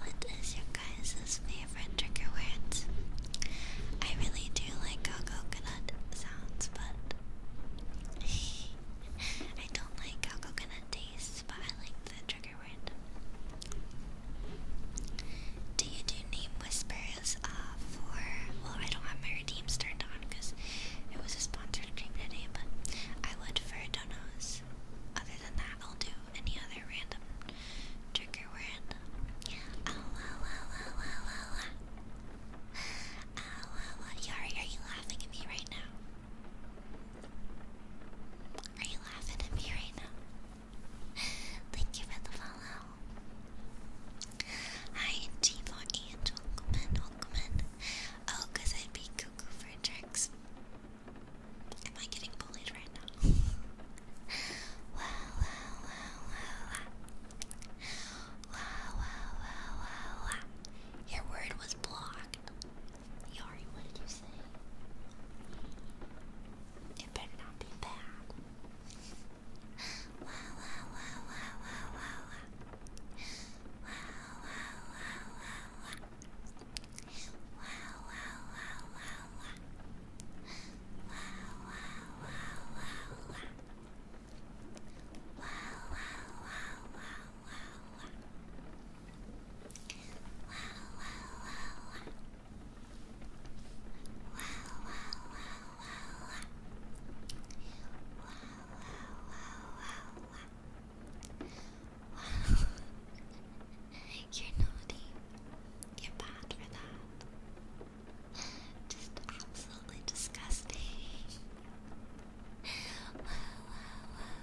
What is your guys' favorite trigger words? I really do like how coconut sounds, but I don't like how coconut tastes, but I like the trigger do you do name whispers uh, for. Well, I don't have my redeems turned on because it was a sponsored cream today, but I would for donos. Other than that, I'll do any other random trigger word. Oh, wow, wow, wow, wow, wow, wow. Oh, wow, wow. Yari, are you laughing at me right now? Are you laughing at me right now? Thank you for the follow. Hi, G for Ant. Welcome in, welcome in. Oh, because I'd be cuckoo for tricks. Am I getting bullied right now? wow, wow, wow, wow, wow. Wow, wow, wow, wow, Your word was blocked. Yari, what did you say? It better not be bad. Wow, wow, wow, wow, wow, wow, wow. Wow, wow, wow, wow, wow. Wow, wow, wow, wow, wow. Wow, wow, wow, wow, wow. Wow, wow, wow, wow, wow, wow. Wow, wow, wow, wow wow. You're naughty. You're bad for that. Just absolutely disgusting. Wow, wow, wow, wow.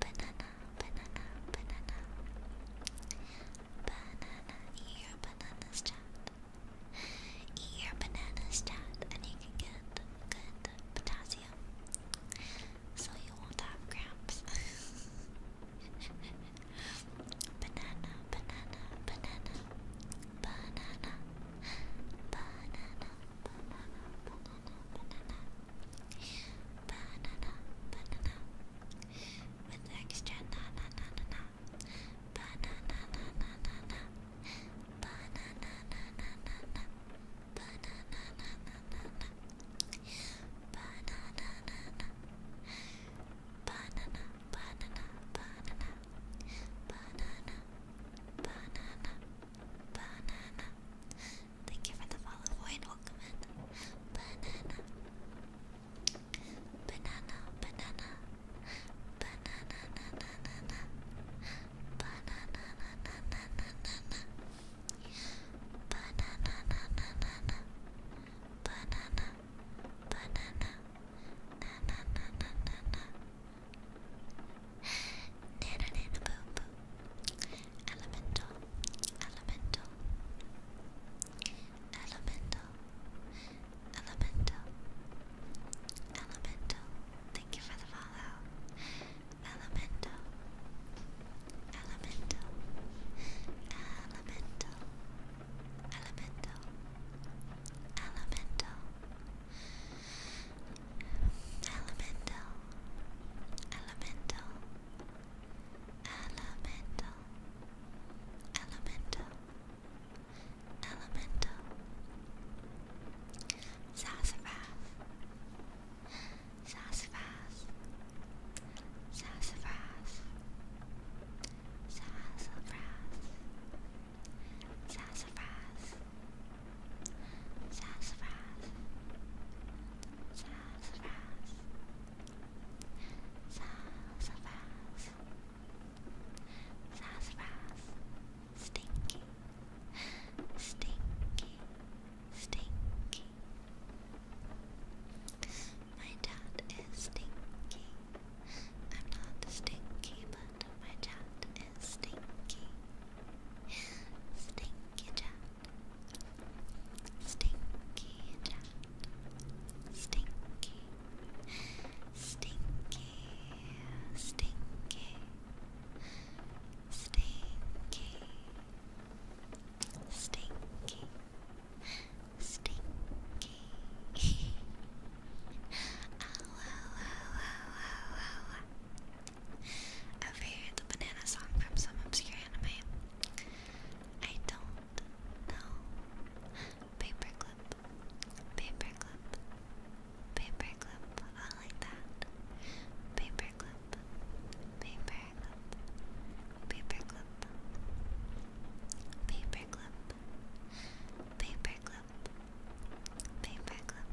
banana, banana, banana, banana. Eat your bananas, chat. Eat your bananas, chat, and you can get good potassium, so you won't have cramps. banana, banana, banana, banana, banana, banana, banana banana, banana, with extra na na na na banana na na na na, banana na na na na, banana na na na na, banana na na, banana, banana, banana, banana, banana. Banana. Thank you for the follow, Void. Welcome in. Banana. Banana. Banana. Banana. Banana. Banana. Banana. Banana. Banana. Banana. Banana. Na na na na Nana nana boo boo. Elemental, elemental, elemental, elemental, elemental. Thank you for the follow. Elemental, elemental, elemental, elemental, elemental. Elemental, elemental, elemental, elemental, elemental. Sassafras, sassafras, sassafras, sassafras, sassafras. Sassafras. Sassafras. Sassafras. Sassafras. Stinky. Stinky. Stinky. My dad is stinky. I'm not stinky, but my dad stinky, stinky Jack, stinky Jack, stinky, stinky, stinky, stinky, stinky. Stinky. Ow, ow, ow, ow, ow, ow, ow. I've heard the banana song from some obscure anime. I don't know. Paperclip. Paperclip. Paperclip. I like that. Paperclip. Paperclip. Paperclip. Paperclip. Paperclip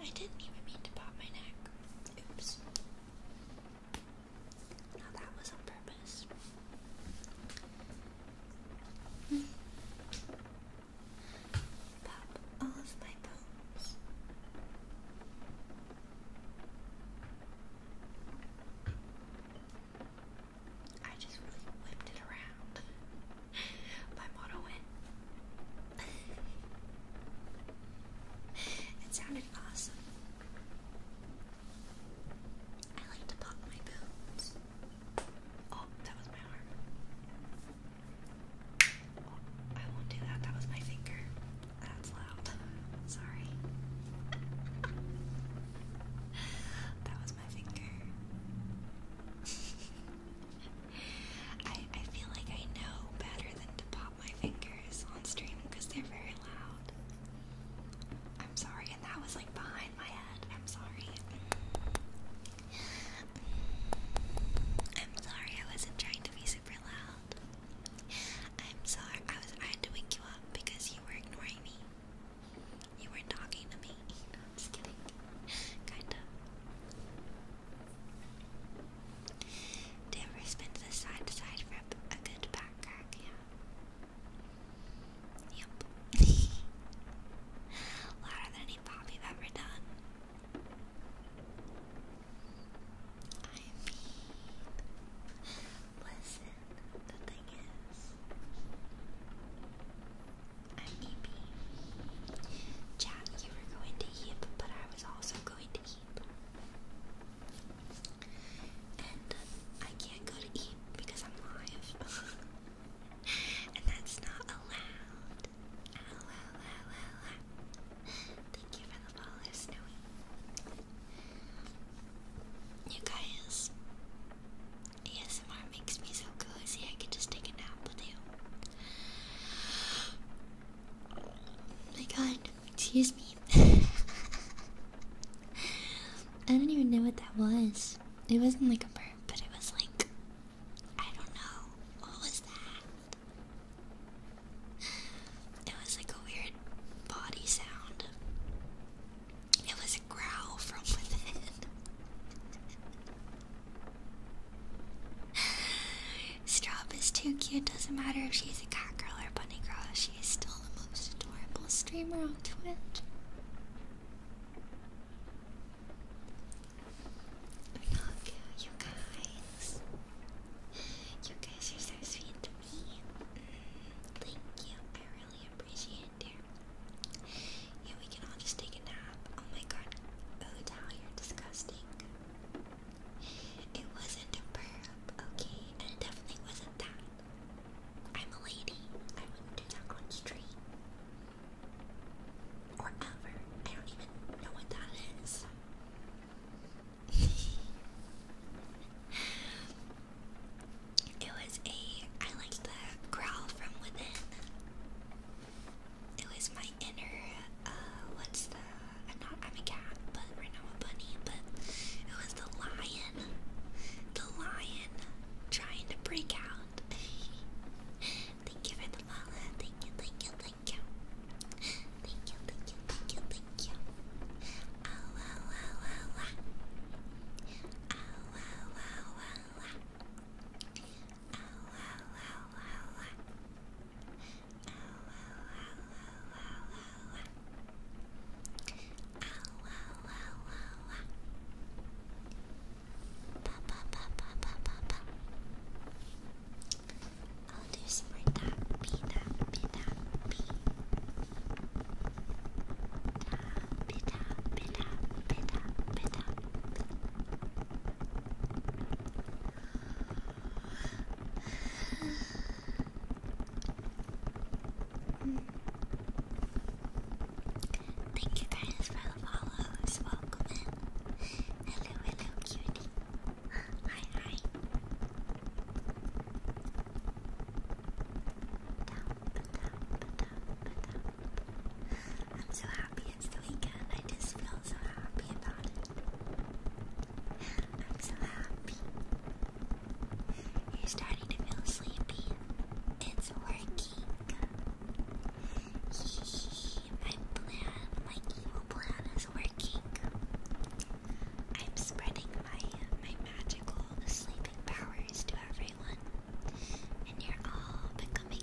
I didn't even mean to pop my neck. Oops. Now that was on purpose. Pop all of my bones. I just really whipped it around. My motto went. it sounded awesome. I like to pop my boobs. Oh, that was my arm. Oh, I won't do that. That was my finger. That's loud. Sorry. that was my finger. I, I feel like I know better than to pop my fingers on stream because they're very loud. I'm sorry, and that was like behind my head. I'm sorry. I'm sorry, I wasn't trying to be super loud. I'm sorry, I was I had to wake you up because you were ignoring me. You were talking to me just kidding. Kinda. Do you the side to side for a good back crack? Yeah. Yep. Louder than any pop you've ever done. I mean, listen, the thing is, I'm you were going to heap, but I was also going to heap. And I can't go to heap because I'm live. and that's not allowed. Thank you for the follow, Snowy. You guys, ASMR makes me so cozy, I could just take a nap with you. Oh my god, excuse me. I don't even know what that was. It wasn't like a burp, but it was like. I don't know. What was that? It was like a weird body sound. It was a growl from within. Strop is too cute. Doesn't matter if she's a cat girl or bunny girl. She is still the most adorable streamer on Twitch. Look, you guys. You guys are so sweet to me. Thank you. I really appreciate it. Yeah, we can all just take a nap. Oh my god. Oh, you're disgusting. It wasn't a burp, okay? And it definitely wasn't that. I'm a lady. I wouldn't do that on stream. Or ever. I don't even know what that is. it was a. I liked the growl from within it was my inner, uh, what's the, I'm not, I'm a cat, but right now I'm a bunny, but it was the lion, the lion trying to break out. thank you for the thank you, thank you, thank you. Thank you, thank you, thank you, thank you. I'll do some like that. Be that, be that, be that, be that, be that, be that, be that, be that. Thank you guys for the follows. Welcome in. Hello, hello, cutie. Hi, hi. Tap, tap, I'm so happy it's the weekend. I just feel so happy about it. I'm so happy. You're starting to feel sleepy. It's working. my plan, my evil plan is working. I'm spreading my my magical sleeping powers to everyone. And you're all becoming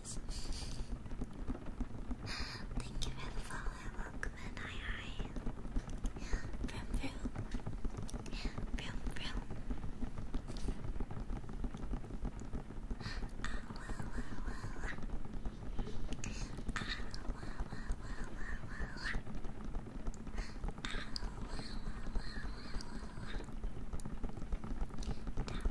Thank you for the follow, welcome and hi hi. Vroom vroom. Vroom vroom. Ah wah wah wah wah. Ah wah wah wah wah wah wah. Ah wah wah wah wah wah wah. Tap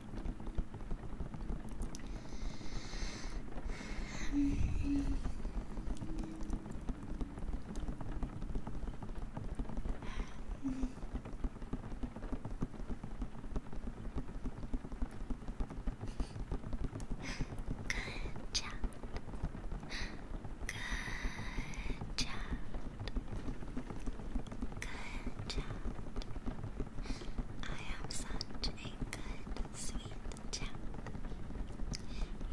Um, um, Good job. Good job. Good job. I am such a good, sweet chap.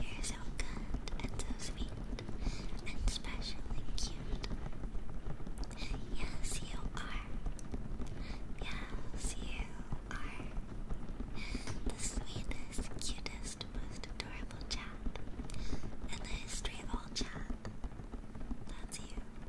You're so good and so sweet and especially cute. Yes, you are. Yes, you are. The sweetest, cutest, most adorable chap in the history of all chat. That's you.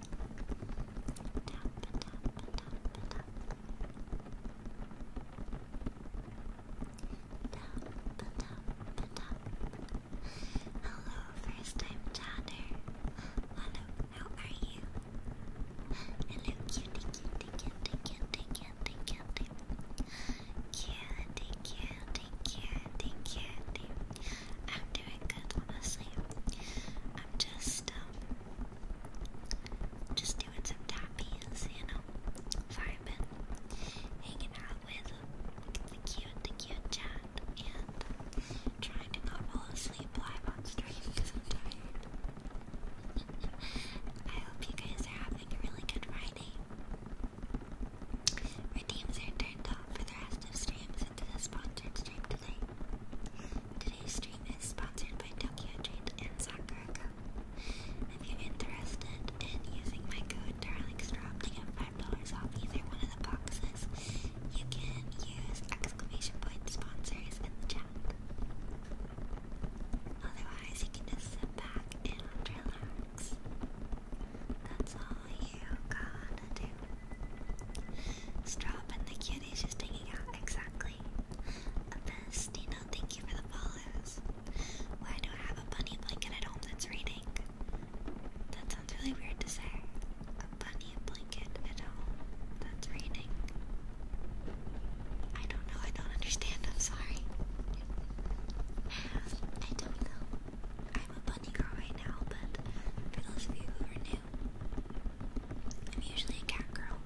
tap, Hello, first time chatter. Hello, how are you? Hello, cutie, cutie, cutie, cutie, cutie, cutie. Cutie, cutie, cutie, cutie. I'm doing good, honestly. I'm just, um, just doing some tappies, you know. Fireman hanging out with the cute, the cute chat, and trying to not fall asleep live on stream because I'm tired. I hope you guys are having a really good Friday. Redeems are turned off for the rest of streams into the sponsored stream today. Today's stream is sponsored by Tokyo Jade and Sakura If you're interested in using my code DarlingStrop to get $5 off either one of the boxes, you can use exclamation point sponsors in the chat. Otherwise, you can just sit back and relax. That's all you gotta do. Strop and the cuties just hanging out, exactly. Abyss, Dino, thank you for the follows. Why do I have a bunny blanket at home that's reading? That sounds really weird to say. A bunny blanket at home that's reading. I don't know, I don't understand, I'm sorry. I don't know. I'm a bunny girl right now, but for those of you who are new, I'm usually a cat girl.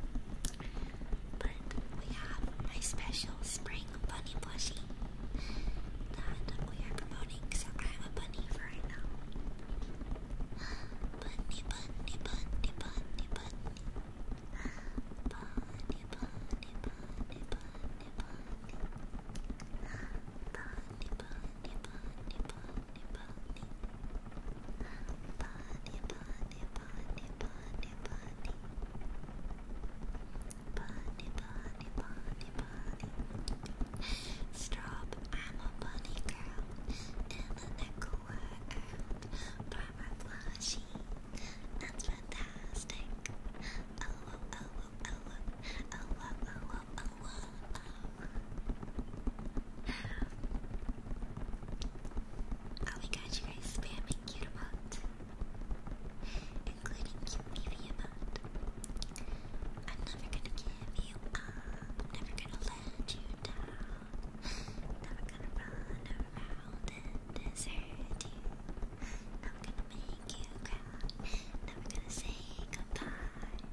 But we have my special spring bunny plushie that we are promoting, so I'm a bunny for right now. Bunny, bunny, bunny, bunny, bunny. Bunny, bunny, bunny, bunny, bunny. Bunny, bunny, bunny, bunny bunny. Stop, I'm a bunny girl. In the nickel world. Brought my plushie. That's fantastic. Oh, oh, oh, oh, oh, oh, oh, oh, oh, oh, oh, oh. Oh my gosh, you guys spamming cute amount. Including cute baby amount. I'm never gonna give you up. never gonna let you down. Never gonna run around and desert Never gonna make you cry. Never gonna say goodbye.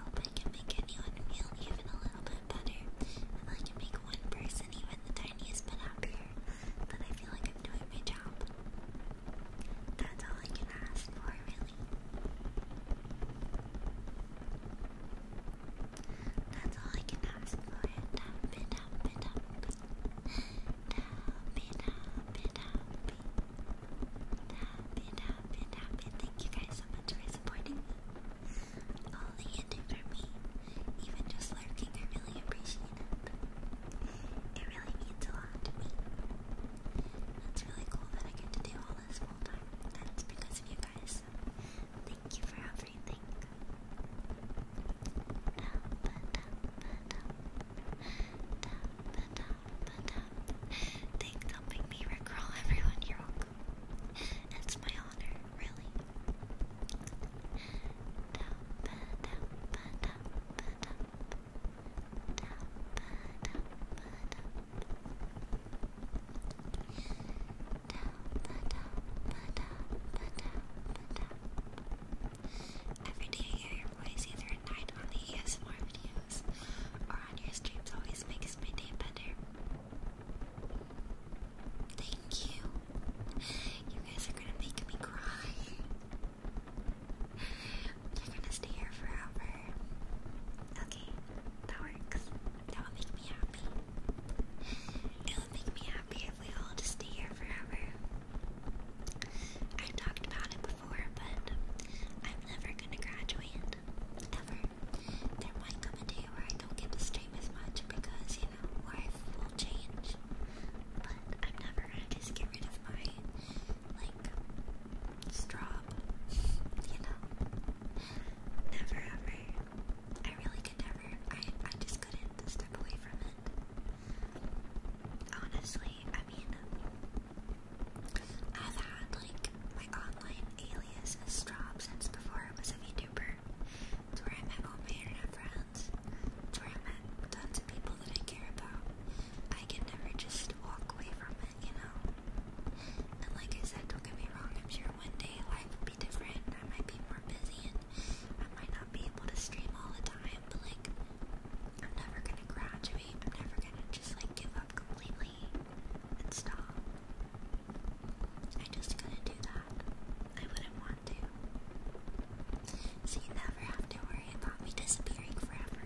hope I can make anyone feel even a little bit better. and I can make one person even the tiniest bit happier, But I feel like I'm doing my job. That's all I can ask for, really. That's all I can ask for thank you guys so much for supporting me. All that you do for even just lurking, I really appreciate it. It really means a lot to me. That's really cool that I get to do all this full time. That's because of you guys. thank you for everything but uh, thanks helping me recrawl everyone. you It's my honor, really. Every day I hear your voice either at night on the ESMR video streams on your streams always makes my day better. Thank you. You guys are gonna make me cry. You're gonna stay here forever. Okay, that works. That would make me happy. It would make me happy if we all just stay here forever. I talked about it before, but I'm never gonna graduate. Ever there might come a day where I don't get to stream as much because, you know, life will change. But I'm never gonna just get rid of my, like, straw, you know? Never ever. I really could never. I, I just couldn't step away from it. Honestly, I mean, I've had like my online alias as Straub since before I was a VTuber. It's where I met all friends. It's where I met tons of people that I care about. I can never just walk away from it, you know? And like I said, don't get me wrong, I'm sure one day life will be different. I might be more busy and I might not be able to stream all the time, but like, I'm never gonna graduate. I'm never gonna just like give up completely and stop. I just couldn't do that. I wouldn't want to. So you never have to worry about me disappearing forever.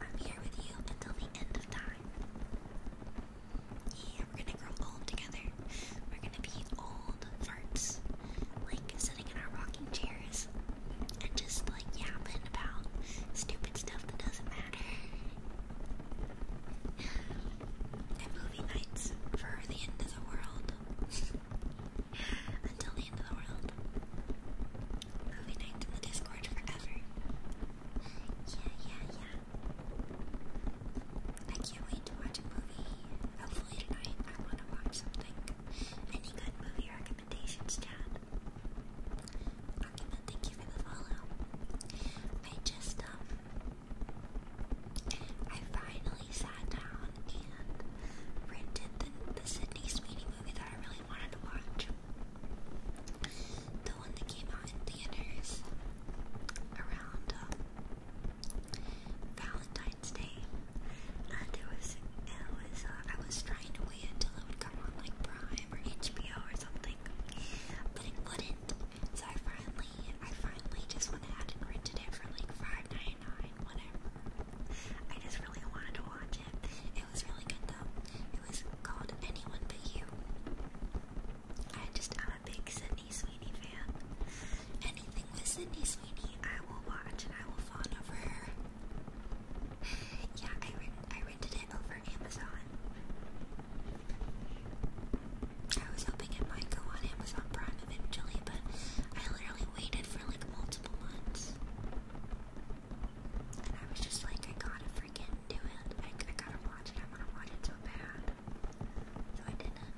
I'm here with you until the end of time. Yeah, we're gonna grow old together. We're gonna be old farts. Like sitting in our rocking chairs and just like yapping about stupid stuff that doesn't matter. and movie nights for the end of the world. Until the end of the world. Movie nights in the Discord forever. Yeah, yeah, yeah. I can't wait to watch a movie. Hopefully tonight I want to watch something. Any good movie recommendations, Chad? Argument, thank you for the follow. I just, um, I finally sat down and rented the, the Sydney Sweeney movie that I really wanted to watch. The one that came out in theaters around um, Valentine's Day, and it was it was uh, I was trying to wait until it would come on like Prime or HBO or something but it wouldn't. So I finally I finally just went ahead and rented it for like five ninety nine, whatever. I just really wanted to watch it. It was really good though. It was called Anyone But You. I just am a big Sydney Sweeney fan. Anything with Sydney Sweeney I will watch and I will fawn over her yeah, I, rent, I rented it over Amazon. I was hoping it might go on Amazon Prime eventually, but I literally waited for like multiple months. And I was just like, I gotta freaking do it. I, I gotta watch it. I wanna watch it so bad. So I didn't.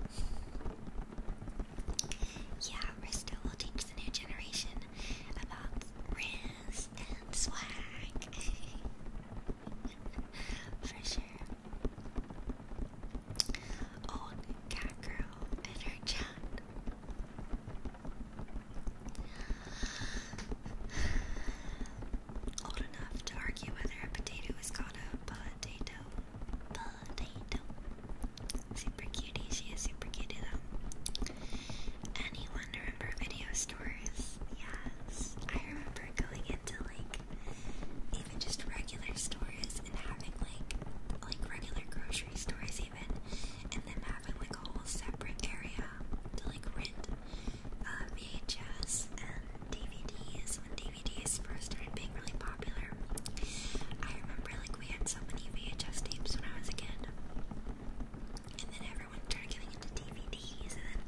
Yeah, Risto will teach the new generation about Rin and swag. For sure. Old cat girl in Old enough to argue whether a potato is called a potato. Potato. Super cutie. She is super cutie Anyone remember videos stores, yes. I remember going into like even just regular stores and having like like regular grocery stores even and then having like a whole separate area to like rent uh, VHS and DVDs when DVDs first started being really popular. I remember like we had so many VHS tapes when I was a kid and then everyone started getting into DVDs, and then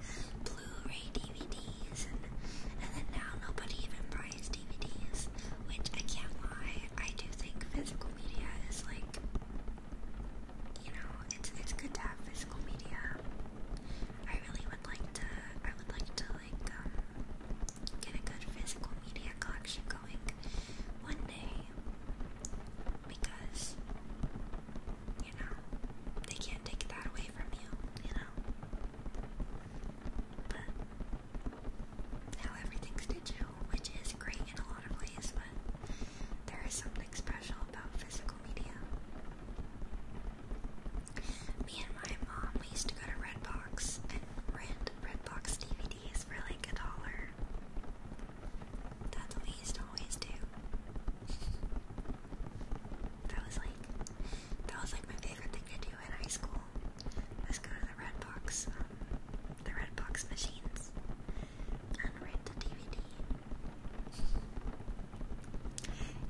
Blu-ray DVDs, and and then now nobody even buys DVDs. Which I can't lie, I do think physical media is like, you know, it's it's good to have physical media. I really would like to. I would like to like um, get a good physical media collection going one day because you know, they can't take that away from you, you know. But now everything's digital, which is great in a lot of ways, but there is something special about physical media. Me and my mom, we used to go to Redbox and rent Redbox DVDs for like a dollar. That's what we used to always do. that was like that was like my favorite thing to do in high school. Was go to the red box, um, the red box machines, and rent the DVD.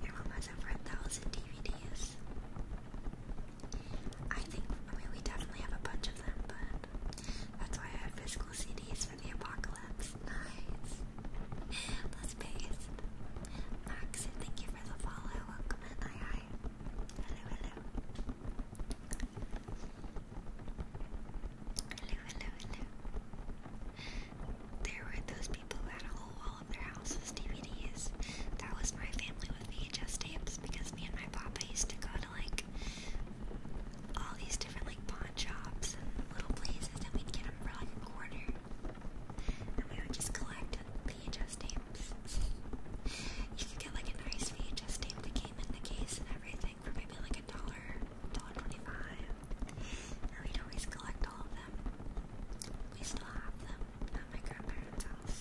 Your mom has over a thousand DVDs. I think I we definitely have a bunch of them, but that's why I have this CDs for the apocalypse. Nice. Let's Max, thank you for the follow. Welcome in. Hi, hi. Hello, hello. Hello, hello, There were those people who had a whole wall of their houses DVDs. That was my family with VHS tapes because me and my papa used to go to like all these to different like pawn shops and little places, and we'd get them for like a quarter, and we would just collect VHS tapes. you could get like a nice VHS tape that came in the case and everything for maybe like a dollar, dollar twenty-five, and we'd always collect all of them. We still have them at my grandparents' house.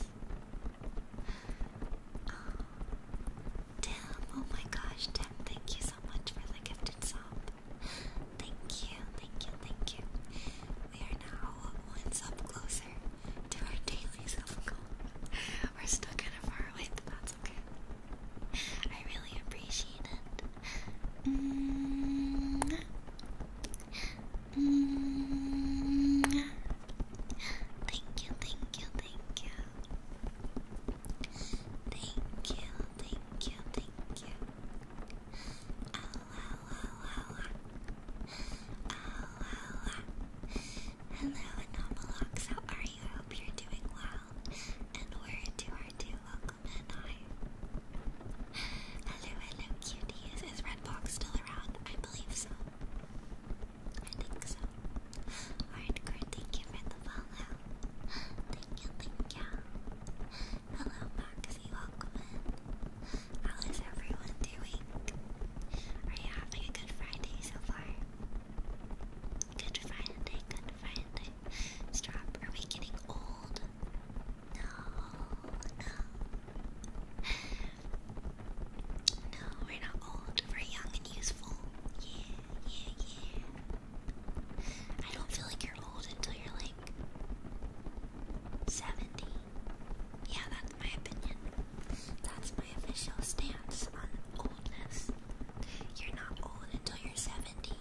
Oh, Tim, oh my gosh, Tim, thank you so much for the gifted sub thank you, thank you, thank you. We are now one sub closer to our daily sub goal. We're still kind of far away, but that's okay. I really appreciate it. -hmm. -hmm. Thank you, thank you, thank you. Thank you, thank you, thank you. Ow, ow, ow, Hello, Anomalox, how are you? hope you're doing well. And we're too welcome and I. Hello, hello, cuties. Is Redbox still around? I believe so. I think so. Hardcore, thank you for the follow. Thank you, thank you. Hello, Maxie, welcome in. How is everyone doing? Are you having a good Friday so far? Good Friday, good Friday. Stop, are we getting old? No, no. No, we're not old. We're young and useful. Yeah, yeah, yeah. I don't feel like you're old until you're like 70. Yeah, that's my opinion. That's my official stance on oldness. You're not old until you're 70.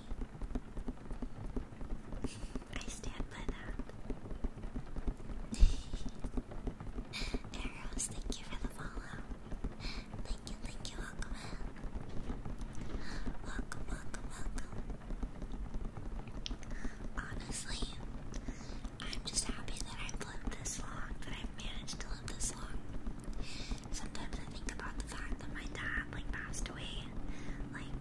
I stand by that. Arrows, thank you for the follow. Thank you, thank you, welcome. Welcome, welcome, Honestly, I'm just happy that i lived this long, that I've managed to live this long. Sometimes I think about the fact that my dad, like, passed away, like,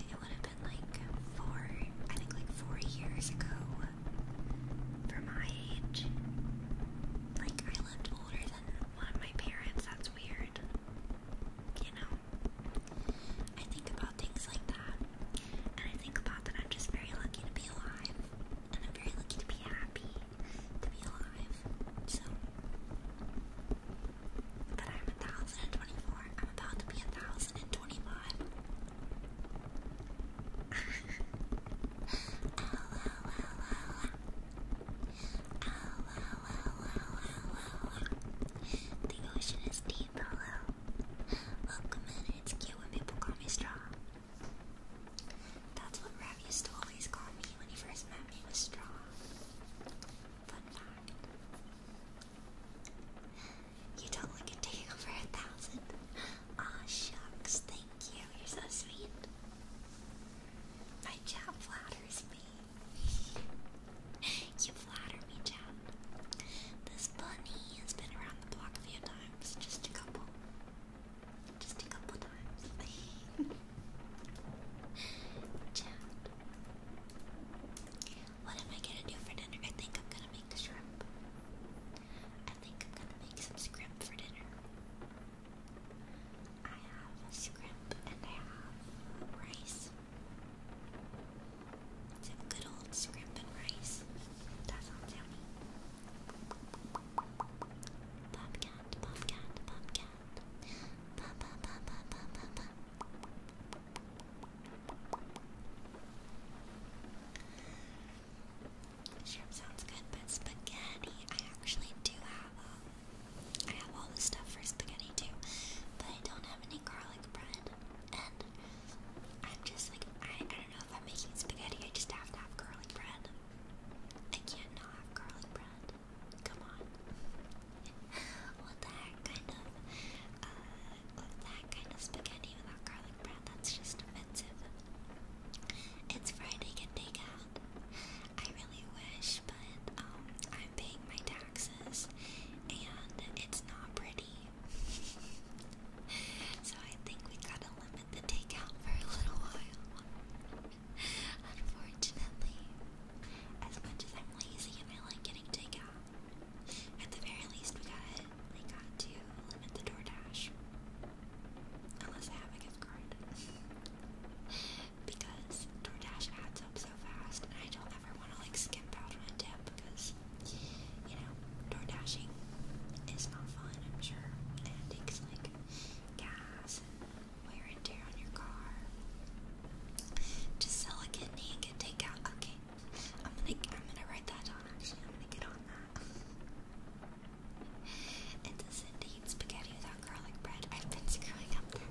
it would have been, like, four, I think, like, four years ago for my age. Like, I lived older than one of my parents, that's weird. You know? I think about things like that. And I think about that I'm just very lucky to be alive. And I'm very lucky to be happy to be alive. So. But I'm thousand and twenty four. I'm about to be thousand and twenty five. The ocean is deep, hello. Welcome in, it's cute when people call me Straw. That's what Rav used to always call me when he first met me, was Straw. Fun fact. You don't look a day over a thousand. Aw, oh, shucks, thank you, you're so sweet. My chat you flatter me, Chad. This bunny has been around the block a few times, just a couple. Just a couple times. Chad. What am I gonna do for dinner? I think I'm gonna make shrimp. I think I'm gonna make some shrimp for dinner. I have scrimp and I have rice. Some good old scrimp and rice. That sounds yummy. Bobcat, bobcat, bobcat. Ba ba ba Shrimp sounds good, but spaghetti. I actually do have um, I have all the stuff for spaghetti too, but I don't have any garlic bread. And I'm just like, I, I don't know if I'm making spaghetti, I just have to have garlic bread. I can't not have garlic bread. Come on. what the heck kind of, uh, what the heck kind of spaghetti without garlic bread? That's just offensive. It's Friday, get take out. I really wish, but um, I'm paying my taxes and it's not pretty. so I think we gotta limit the takeout for a little while. Unfortunately, as much as I'm lazy and I like getting takeout, at the very least we got we got to limit the DoorDash. Unless I have a because DoorDash adds up so fast, and I don't ever want to like skimp out on a tip because you know DoorDashing is not fun, I'm sure, it takes like gas wear and tear on your car. Just sell a kidney and get takeout. Okay, I'm gonna I'm gonna write that down. Actually, I'm gonna get on that. It's a Cindy spaghetti with our garlic bread. I've been screwing up that.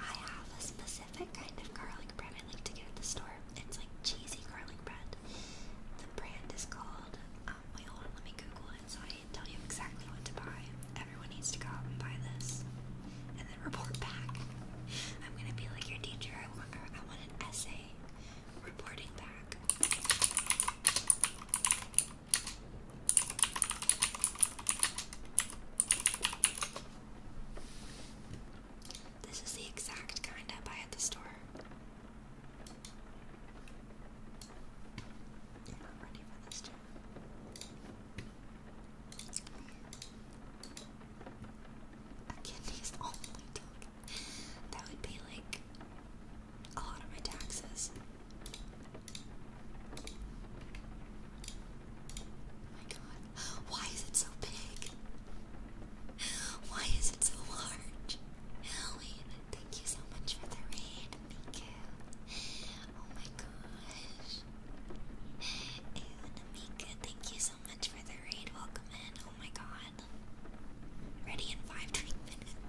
I have a specific kind of garlic bread I like to get at the store. It's like cheesy garlic bread. The brand is called. Um, wait, hold on, let me Google it so I tell you exactly what to buy. Everyone needs to go out and buy this, and then report back. I'm gonna be like your teacher. I want, I want an essay reporting back. This is the exact kind of buy at the store. I'm ready for this A kidney's all my That would be like a lot of my taxes. Oh my god. Why is it so big? Why is it so large? Halloween, thank you so much for the raid. Thank Oh my gosh. And thank you so much for the raid. Welcome in. Oh my god. Ready in five, three minutes.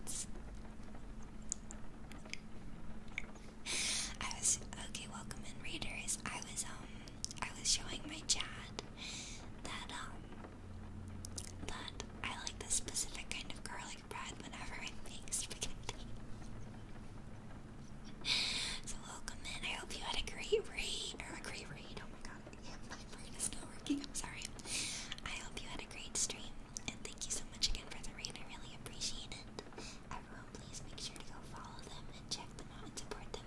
I was okay. Welcome in, readers. I was um, I was showing my chat that um, that I like this specific kind of garlic bread whenever I make spaghetti. so welcome in. I hope you had a great read or a great read. Oh my god, my brain is not working. I'm sorry. I hope you had a great stream, and thank you so much again for the read. I really appreciate it. Everyone, please make sure to go follow them and check them out and support them.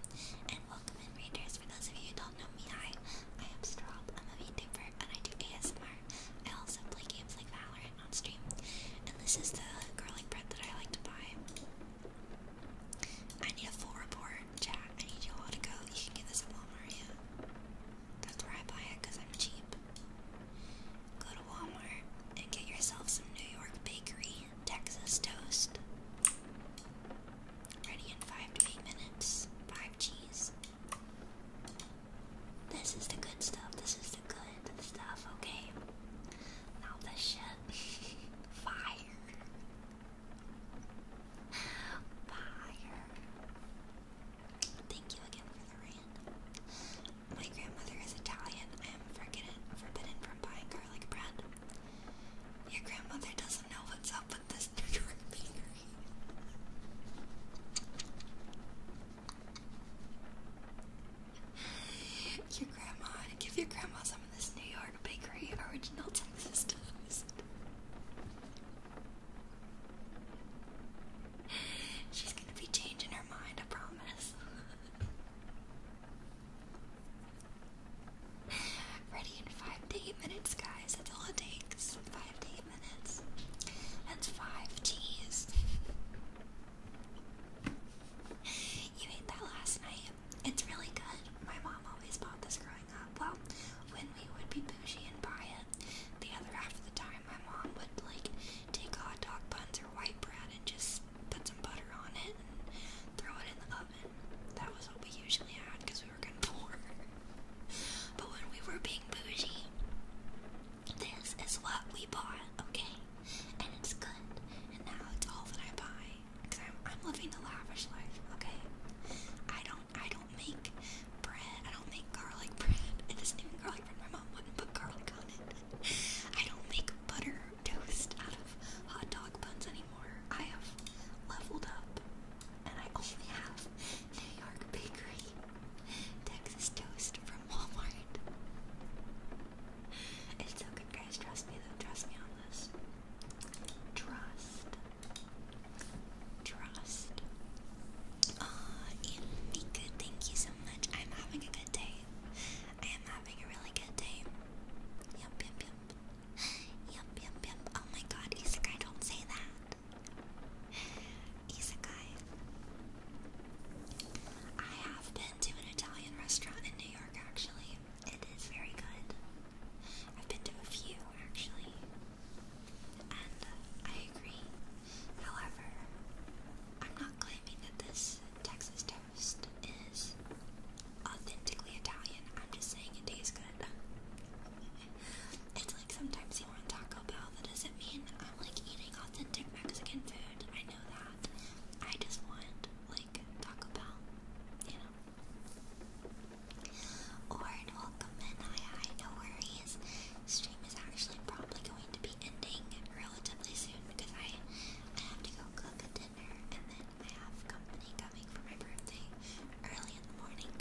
And welcome in For those of you who don't know me, hi, I am Straub. I'm a VTuber and I do ASMR. I also play games like Valorant on stream. And this is the garlic bread that I like to buy. I need a full report, chat. I need you all to go. You can get this at Walmart, yeah. That's where I buy it because I'm cheap go to Walmart and get yourself some New York Bakery Texas toast. Ready in five to eight minutes. Five cheese. This is the good stuff. This is the good stuff, okay? Now the shit. Fire. Fire. Thank you again for the rain. Italian. My grandmother is Italian. I am forbidden, forbidden from buying garlic bread. Your grandmother doesn't know what's up with this New York bakery. Your grandma, give your grandma some of this New York bakery original Texas toast. She's gonna be changing her mind, I promise. Ready in five eight minutes, guys. That's all it takes. Five eight minutes. That's five teas. you ate that last night. It's really good. My mom always bought this growing up. Well, when we would be bougie and buy it, the other half of the time time, my mom would like take hot dog buns or white bread and just put some butter on it and throw it in the oven. That was what we usually had because we were kind of poor. but when we were being bougie, this is what we bought, okay? And it's good. And now it's all that I buy because I'm, I'm living the lavish life, okay? I don't I don't make bread. I don't make garlic bread. It isn't even garlic bread. My mom wouldn't put garlic on it. I don't make butter toast out of hot dog buns anymore. I have leveled up and I only have New York Bakery Texas toast from Walmart. It's so good, guys. Trust me, Trust me on this. Trust. Trust. Ah, oh, Mika, thank you so much. I'm having a good day. I am having a really good day. Yep, yep, yep. Yep, yep, yep. Oh my god, Isekai, don't say that. Isekai. I have been to an Italian restaurant in New York, actually. It is very good. I've been to a few, actually. And uh, I agree. However, I'm not claiming that this Texas toast is authentically Italian. I'm just saying it tastes good. it's like sometimes you want Taco Bell. That doesn't mean I'm like eating authentic Mexican food. I know that. I just want like Taco Bell, you know. Or welcome in. Hi, hi. No worries. Stream is actually probably going to be ending relatively soon because I I have to go cook a dinner and then I have company coming for my birthday early in the morning.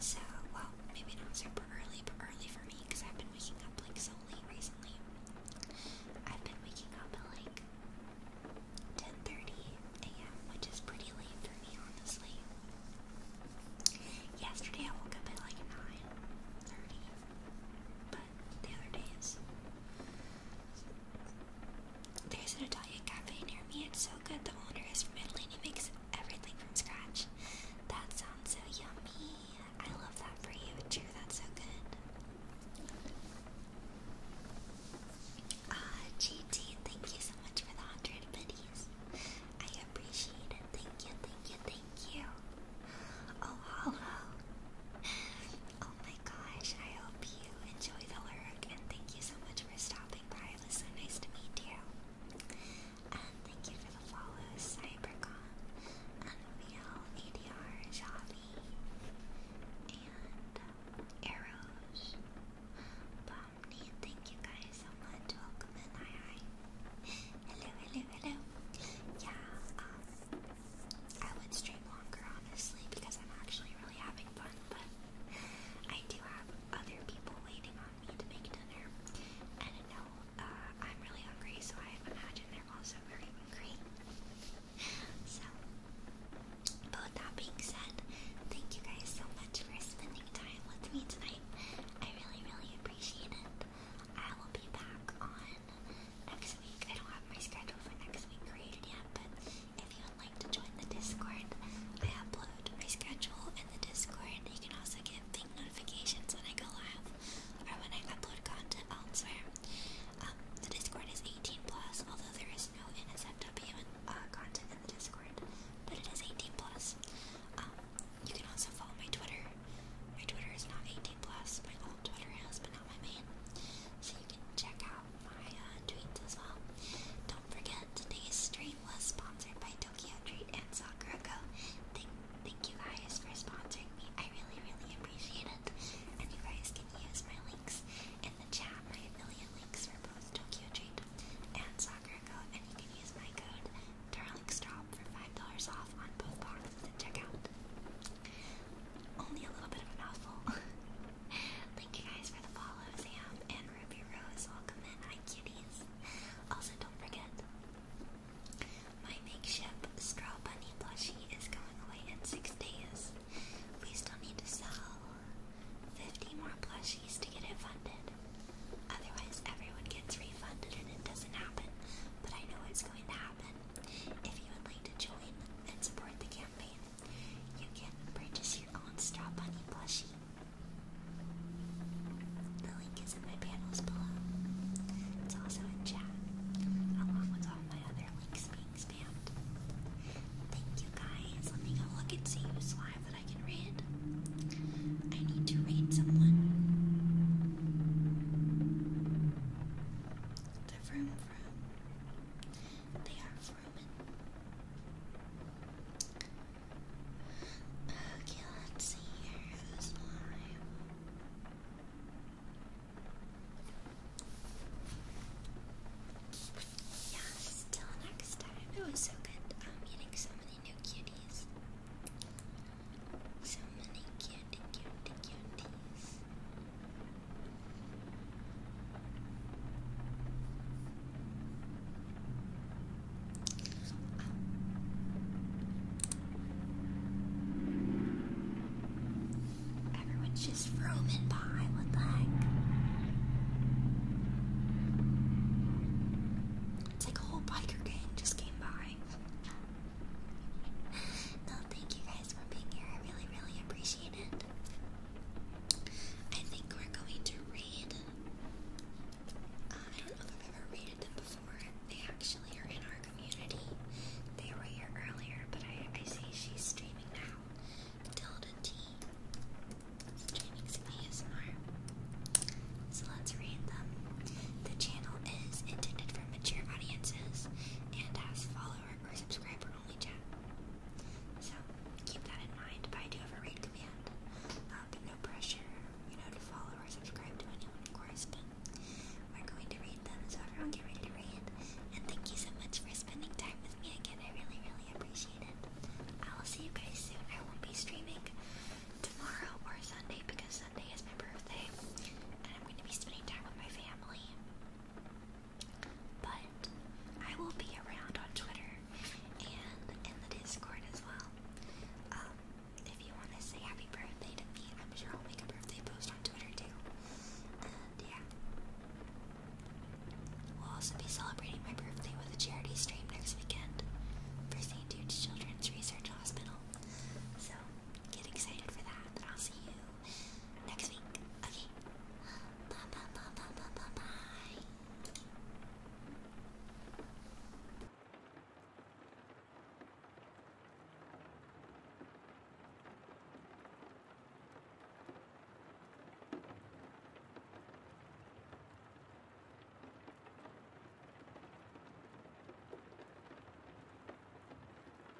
So well, maybe not super early, but early for me because I've been waking up like so late recently. I've been waking up at like 10:30 a.m., which is pretty late for me, honestly. Yesterday I woke up at like 9:30, but the other days. There's an Italian cafe near me. It's so good. The owner is from Italy and he makes everything from scratch. That sounds so yummy. I love that for you. True, that's so good. Ah, GT, thank you so much for the 100 buddies. I appreciate it. Thank you, thank you, thank Thank you. Oh, hello. Oh my gosh, I hope you enjoy the lyric and thank you so much for stopping by. It so nice to meet you. And thank you for the follows, Cybercon, Unreal, ADR, Javi, and Arrows. Uh, Bomni, thank you guys so much. Welcome in, hi hi. Hello, hello, hello. Yeah, um, I would stream longer, honestly, because I'm actually really having fun, but I do have other people waiting on me to make dinner. And I know uh, I'm really hungry, so I imagine they're also very hungry. so, but that being said, thank you guys so much for spending time with me tonight. I really, really appreciate it. I will be back on next week. I don't have my schedule for next week created yet, but if you would like to join the Discord, I upload my schedule in the Discord. You can also get ping notifications when I go live or when I upload content elsewhere. Um, the Discord is 18 plus, although there is no NSFW uh, content in the Discord, but it is 18 plus. Um, you can also follow my Twitter my Twitter is not 18 plus. My old Twitter is, but not my main. So you can check out my uh, tweets as well. Don't forget today's stream was sponsored by Tokyo Treat and Soccer Go. Thank, thank you guys for sponsoring me. I really, really appreciate it. And you guys can use my links in the chat, my affiliate links for both Tokyo Treat and Soccer Go, and you can use my code DarlingStop for five dollars off on both boxes at checkout. Only a little bit of a mouthful. Thank you guys for the follow, Sam and Ruby Rose. Welcome in. I kitties. Also, don't forget, my makeshift straw bunny plushie is going away in six days. We still need to sell 50 more plushies to get it funded. Otherwise, everyone gets refunded and it doesn't happen. But I know it's going to happen. If you would like to join and support the campaign, you can purchase your own Straw Bunny plushie. The link is in my panels below. It's also in chat, along with all my other links being spammed. Thank you guys. Let me go look and see who's live that I can read. I need to read someone. They're from They are from Okay, let's see here. This line. Yes, till next time. It was so good um, getting so many new cuties. So many cute, cute, cuties. Everyone's just roaming by. What the heck? It's like a whole biker gang just came by. No, thank you guys for being here. I really, really appreciate it. I think we're going to read. Uh, I don't know if I've ever rated them before. They actually are in our community. They were here earlier, but I, I see she's streaming now. Tilda T. Streaming some ASMR. So let's read them. The channel is intended for mature audiences and has follower or subscriber only chat. So keep that in mind, but I do have a read command. but no pressure, you know, to follow or subscribe to anyone, of course, but we're going to read them, so everyone get ready to read. And thank you so much for spending time with me again. I really, really appreciate it. I will see you guys soon. I won't be streaming tomorrow or Sunday because Sunday is my birthday, and I'm going to be spending time with my family. But I will be around on Twitter and in the Discord as well. Um, if you want to say happy birthday to me, I'm sure I'll make a birthday post on Twitter too. And yeah. We'll also be celebrating my birthday with a charity stream next weekend for St. Jude's Children's Research Hospital. So get excited for that and I'll see you next week. Okay. Bye bye bye bye bye bye bye.